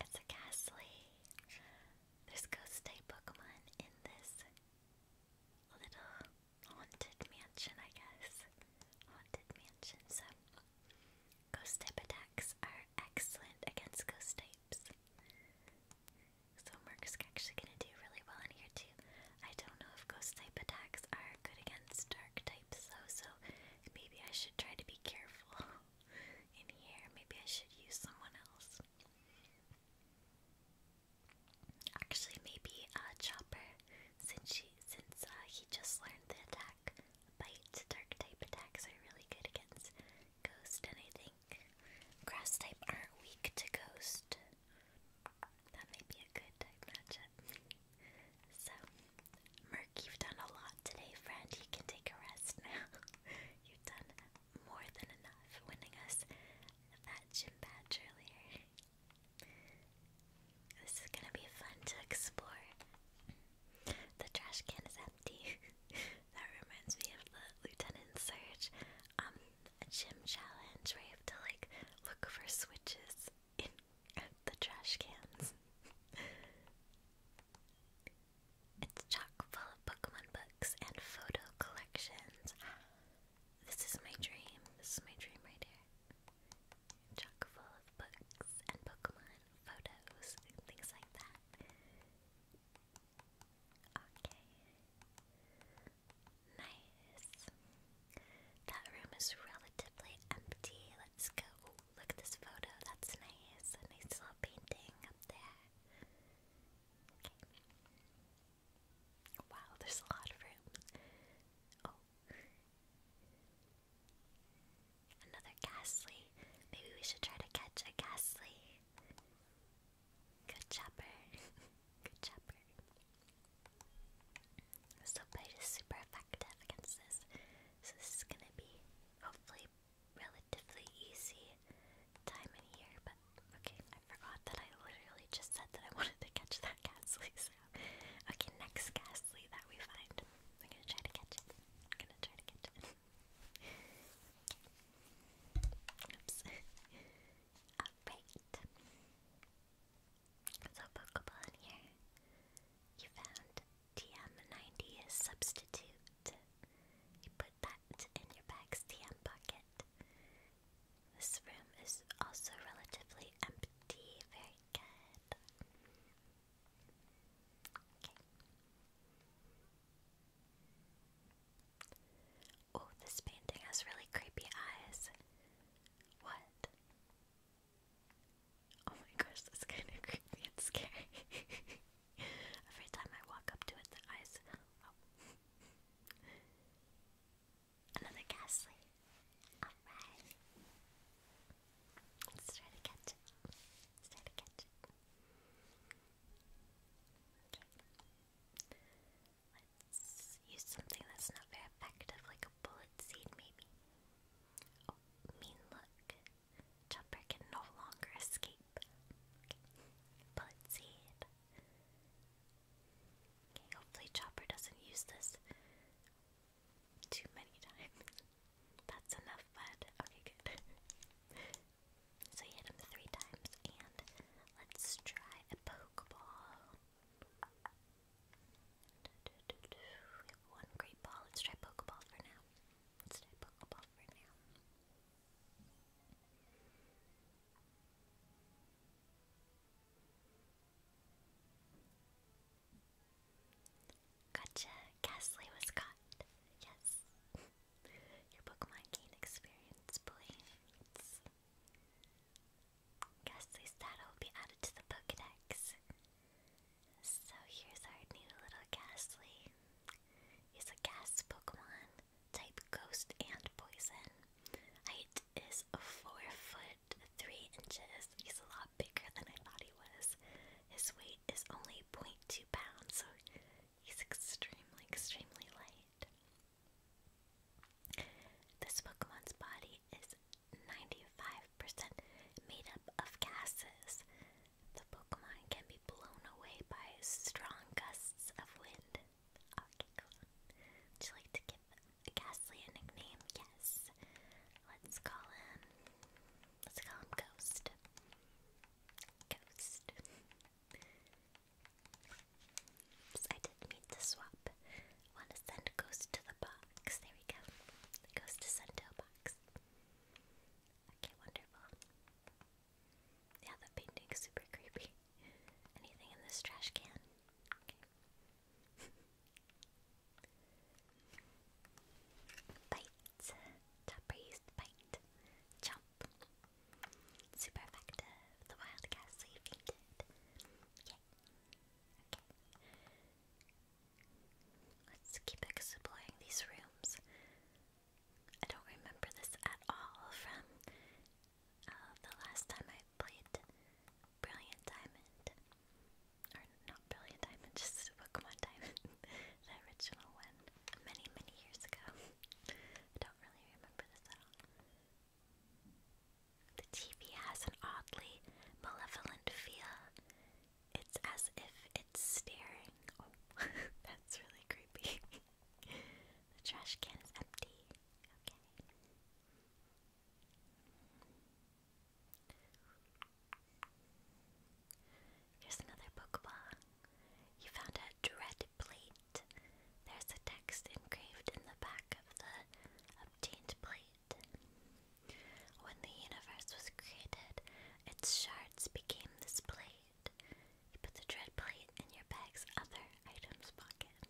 It's a ghastly. There's ghost type Pokemon in this little haunted mansion, I guess. Haunted mansion, so ghost type attacks are excellent against ghost types. So Merc's actually gonna do really well in here too. I don't know if ghost type attacks are good against dark types. So, so maybe I should try to be careful in here. Maybe I should use someone else. Actually, maybe a uh, Chopper, since uh, he just learned the attack, bite dark type attacks are really good against ghost, and I think grass type aren't weak to ghost. That may be a good matchup. So, Merc, you've done a lot today, friend. You can take a rest now. you've done more than enough winning us that gym badge earlier. This is gonna be fun to explore. The trash can is empty. that reminds me of the Lieutenant Surge um, gym challenge where you have to like look for switches in the trash cans. it's chock full of Pokemon books and photo collections. This is my dream. This is my dream right here. Chock full of books and Pokemon photos things like that. Okay. Nice. That room is relatively empty. Let's go. look at this photo. That's nice. A nice little painting up there. Okay. Wow, there's a lot of room. Oh. Another ghastly. Maybe we should try to catch a ghastly. Good chopper. Good chopper. Soapbite is super effective against this, so this is gonna be hopefully relatively easy time in here, but okay, I forgot that I literally just said that I wanted to catch that ghastly, so okay, next ghastly that we find, we're gonna try to catch it, I'm gonna try to catch it. Oops. Alright. So Pokemon here. You found TM90 substitute. You put that in your bag's TM pocket. This room is also relatively empty. Very good. Oh, this painting has really creepy eyes. What? Oh my gosh, that's kind of creepy and scary. Every time I walk up to it, the eyes. Another ghastly. Alright. Let's try to catch it. let to catch it. Let's use something that's not very effective, like a bullet seed, maybe. Oh, mean look. Jumper can no longer escape. Okay. Bullet seed. hopefully Chopper doesn't use this too many times. That's enough bud. so you hit him three times, and let's try a Pokeball one great ball. Let's try Pokeball for now. Let's try Pokeball for now. Gotcha! Ghastly was caught. Yes. Your Pokemon gain experience points. Ghastly's data will be added to the Pokedex. So here's our new little Ghastly. It's a gas Pokemon, type ghost and poison. Height is 4 foot 3 inches. He's a lot bigger than I thought he was. His weight is only 0.2 pounds, so he's extremely, extremely light. This Pokemon's body is 95% made up of gases. The Pokemon can be blown away by strong gusts of wind. Okay, you like to give Ghastly a nickname? Yes. Let's call him. Let's call him Ghost. Ghost. I did mean to swap Wanna send ghost to the box. There we go. ghost to send to a box. Okay, wonderful. Yeah, that painting's super creepy. Anything in this trash can? bite. Top raised bite. Jump. Super effective. The wild ghastly fainted. Yay. Okay. Let's keep exploring these rooms. I don't remember this at all from uh, the last time I played Brilliant Diamond. Or not Brilliant Diamond, just Pokemon Diamond. the original one. Many, many years ago. I don't really remember this at all. The TV has an oddly malevolent feel. It's as if it's staring. Oh, that's really creepy. the trash can is empty. Okay. Here's another Pokeball. You found a dread plate. There's a text engraved in the back of the obtained plate. When the universe was created, its shards became this plate. You put the dread plate in your bag's other items pocket.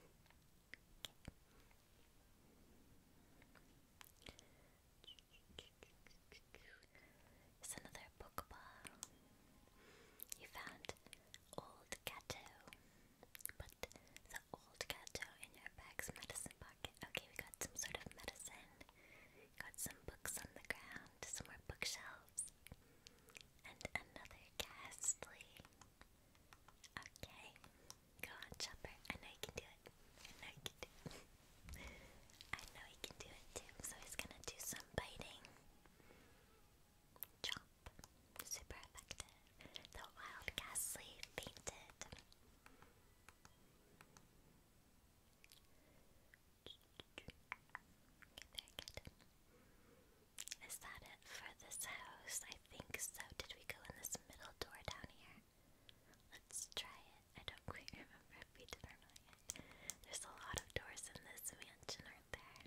It's another Pokeball. You found Old Gato. Put the Old Gato in your bag's medicine pocket. Okay, we got some sort of medicine. Got some books on the ground, some more bookshelves. And another ghastly. Okay. Go on, Chopper. I know you can do it. I know you can do it. I know he can do it too. So he's gonna do some biting. Chop. Super effective. The wild ghastly fainted. Is that it for this house? I think so. Did we go in this middle door down here? Let's try it. I don't quite remember if we did or not There's a lot of doors in this mansion, aren't there?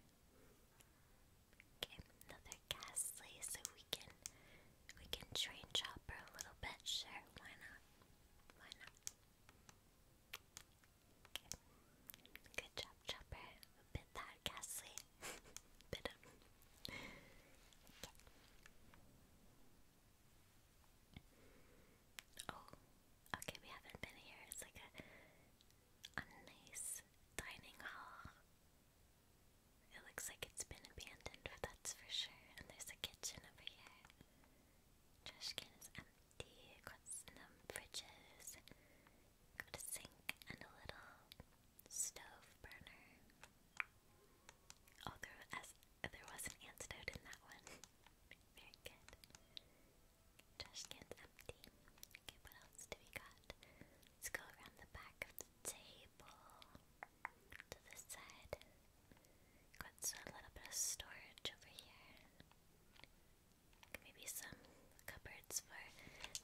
Okay, another ghastly, so we can we can train chopper a little bit, sure, why not? Good job, Chopper. A bit that ghastly. Oh, okay, we haven't been here. It's like a, a nice dining hall. It looks like it's been abandoned for the that's for sure. And there's a kitchen over here. Trash can is empty. Got some fridges. Got a sink and a little stove burner. Oh, there was, there was an antidote in that one. Very good. Trash can's empty. Okay, what else do we got? Let's go around the back of the table to this side. Got a little bit of storage over here. Maybe some cupboards for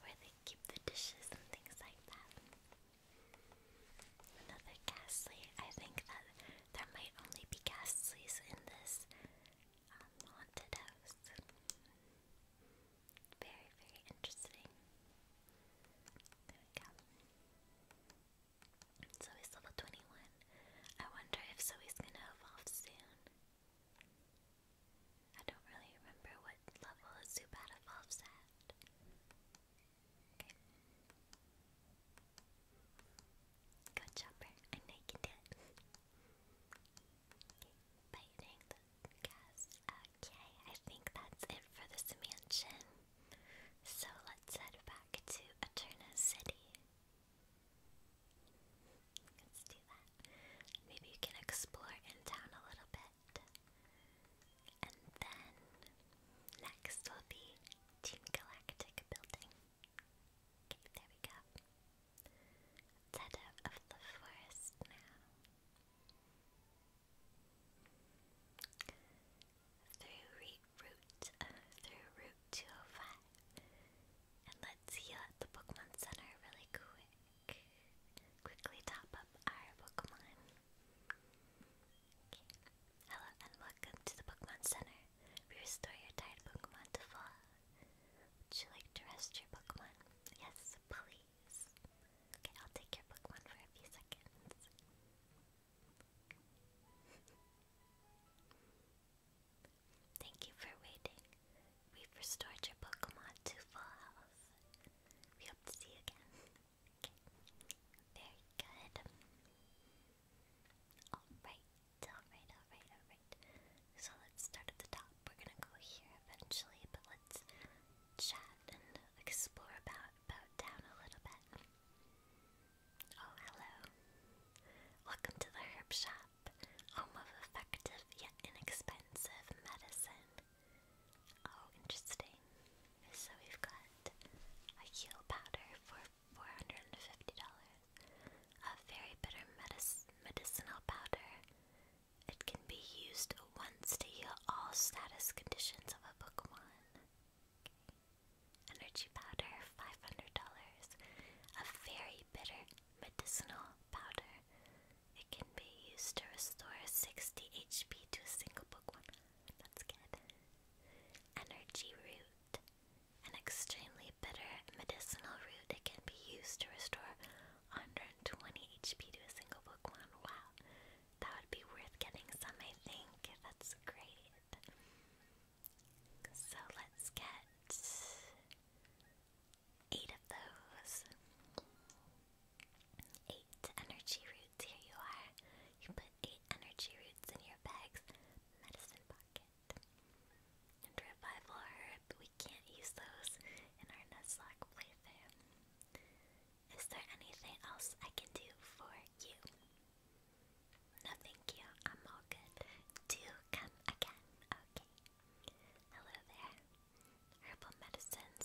where they keep the dishes and things like that. Another ghastly. I think that there might only be ghastlies in this um, haunted house. Very, very interesting. There we go. So Zoe's level 21. I wonder if Zoe's gonna evolve soon. I don't really remember what level Zubat evolves at. Okay. Go Chopper, I know it. okay, biting Okay, I think that's it for this mansion. So let's head back to Eterna City. Let's do that. Maybe you can explore in town a little bit. And then next will be Team Galactic building. Okay, there we go. Let's head out of the forest now through route uh, through route 205, and let's heal uh, at the Pokemon Center really quick. Quickly top up our Pokemon. Hello and welcome to the Pokemon Center. We restore your tired Pokemon to full. Would you like to rest your Pokemon? Yes, please. Okay, I'll take your Pokemon for a few seconds. Thank you for waiting. We've restored your Pokemon to full health. We hope see you again. Very good. Alright, alright, alright, alright. So let's start at the top. We're gonna go here eventually, but let's chat and explore about about down a little bit. Oh, hello. Welcome to the herb shop, home of effective yet inexpensive medicine. Oh, interesting. So we've got a heal powder for $450, a very bitter medicinal powder. It can be used once to heal all status conditions of a Pokemon. Energy powder, $500. A very bitter medicinal powder. It can be used to restore 60 HP to a single book one. That's good. Energy root. An extremely bitter medicinal root. It can be used to restore 120 HP to a single book one. Wow. That would be worth getting some, I think. That's great. So let's get eight of those. Eight energy roots. Here you are. You put eight energy roots in your bag's medicine pocket. And revival herb. We can't use those in our Nuzlocke playthrough. Is there anything else I can do for you. No, thank you. I'm all good. Do come again. Okay. Hello there. Herbal medicines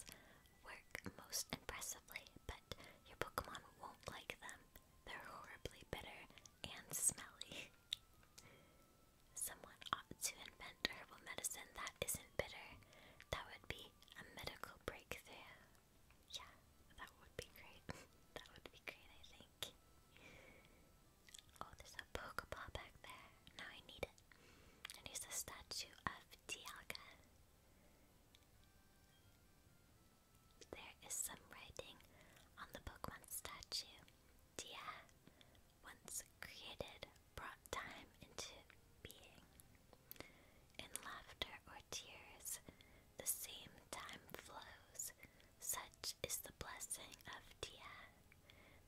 work most impressively, but your Pokemon won't like them. They're horribly bitter and smelly. Someone ought to invent herbal medicine that isn't bitter. That would be a medical breakthrough. Yeah, that would be great. that would be great, I think. Oh, there's a Pokeball back there. Now I need it. And here's a statue of Dialga. There is some writing on the Pokemon statue. Dia, once created, brought time into being. In laughter or tears, the same time flows. Such is the blessing of Dia.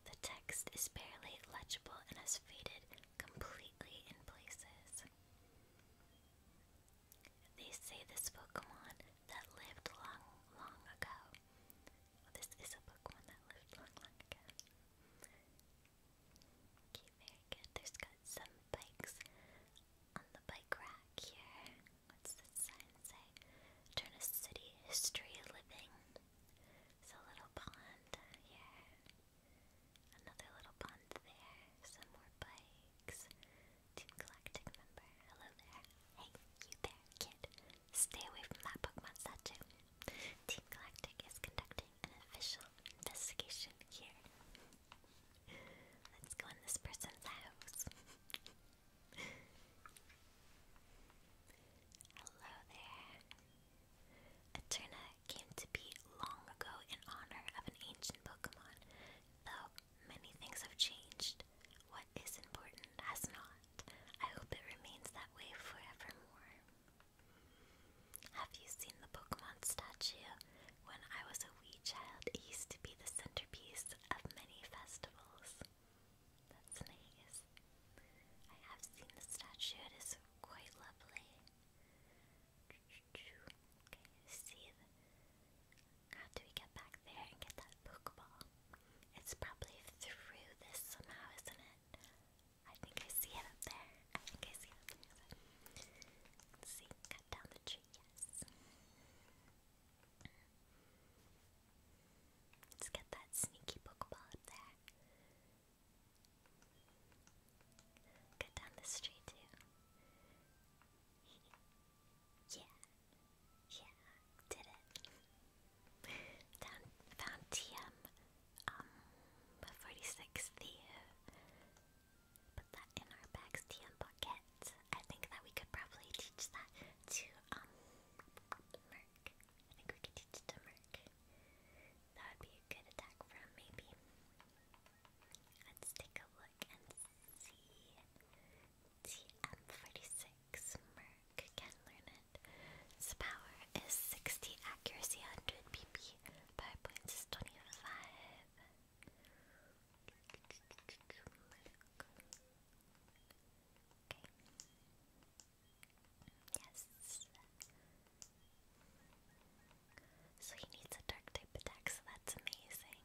The text is barely legible and has faded completely in places. They say this Pokemon that lived long, long ago. this is a Pokemon that lived long, long ago. Okay, very good. There's got some bikes on the bike rack here. What's this sign say? Turn a city history living. There's a little pond here. Another little pond there. Some more bikes. Team Galactic member. Hello there. Hey, you there, kid. Stay away from that Pokemon statue. Team Galactic is conducting an official investigation here. Let's go in this person's house. Hello there. Eterna came to be long ago in honor of an ancient Pokemon, though many things have changed. What is important has not. I hope it remains that way forevermore. Have you seen the Pokemon statue? When I was a wee child, it used to be the centerpiece of many festivals. That's nice. I have seen the statue, it is quite lovely. Okay, see the... How do we get back there and get that Pokeball? It's probably through this somehow, isn't it? I think I see it up there. I think I see it see, cut down the tree, yes. Let's get that sneaky Pokeball up there. Cut down the street too. yeah. Yeah, did it. found TM, um, 46, the, put that in our bags TM bucket. I think that we could probably teach that to um Merc. I think we could teach to Merc. That would be a good attack for maybe. Let's take a look and see. TM46 Merc can learn it. Its power is 60 accuracy, 100 PP. Power Yes. So he needs a dark type attack, so that's amazing.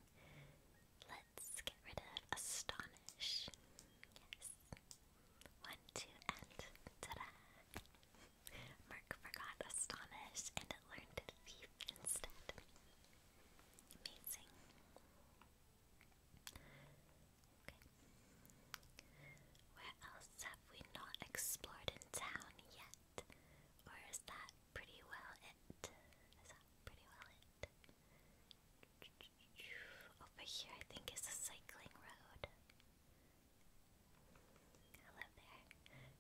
Let's get rid of Astonish. Yes. One, two, and ta-da! forgot Astonish and learned Thief instead. Amazing. Where else have we not explored in town yet? Or that pretty well it? Is that pretty well it? Over here, I think, is a cycling road. Hello there.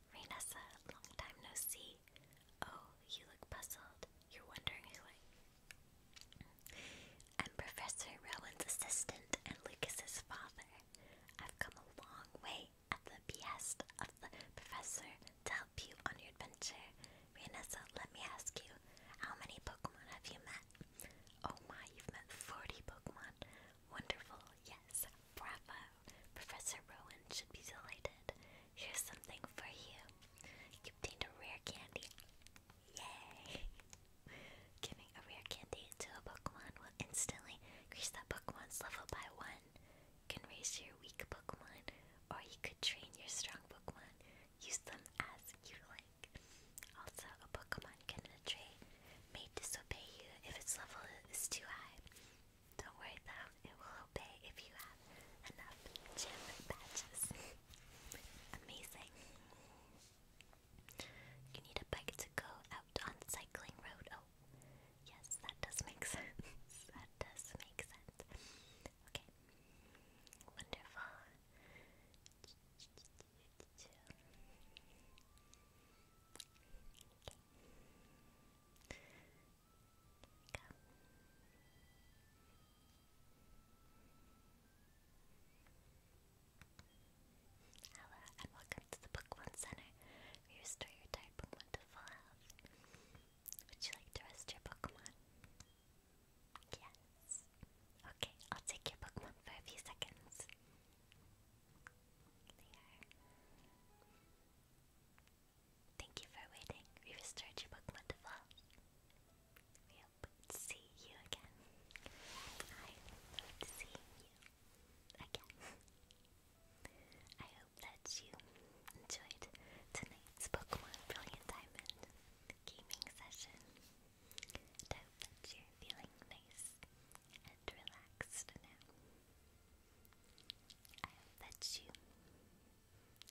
Raina's a long time no see. Oh, you look puzzled. You're wondering who I. I'm Professor Rowan's assistant and Lucas's father. I've come a long way at the behest of the professor to help you on your adventure. Rianessa, let me ask you, how many Pokemon have you met? Oh my, you've met 40 Pokemon. Wonderful, yes, bravo. Professor Rowan should be delighted. Here's something for you. You obtained a rare candy. Yay! Giving a rare candy to a Pokemon will instantly increase that Pokemon's level by one. You can raise your weak Pokemon, or you could train your strong Pokemon. Use them as you like. Also, a Pokemon can betray may disobey you if its level is too high. Don't worry though, it will i if you have enough gym badges. Amazing. You need a bike to go out on cycling road. Oh, yes, that does make sense. that does make sense. Okay. Wonderful. Hello and welcome to the Pokemon Center. We restore your tired Pokemon to health. Would you like to rest your Pokemon? Yes. Okay, I'll take your Pokemon for a few seconds. There. Thank you for waiting. We restored your Pokemon to full. We hope to see you again. I hope to you again. I hope that you enjoyed tonight's Pokemon Brilliant Diamond gaming session. I hope that you're feeling nice and relaxed now. I hope that you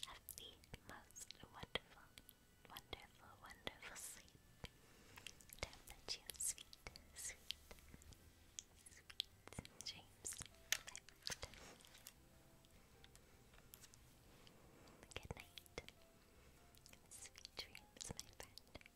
have the most wonderful, wonderful, wonderful sleep. Time that you sweet, sweet, sweet dreams. Good night. Sweet dreams, my friend. Good night.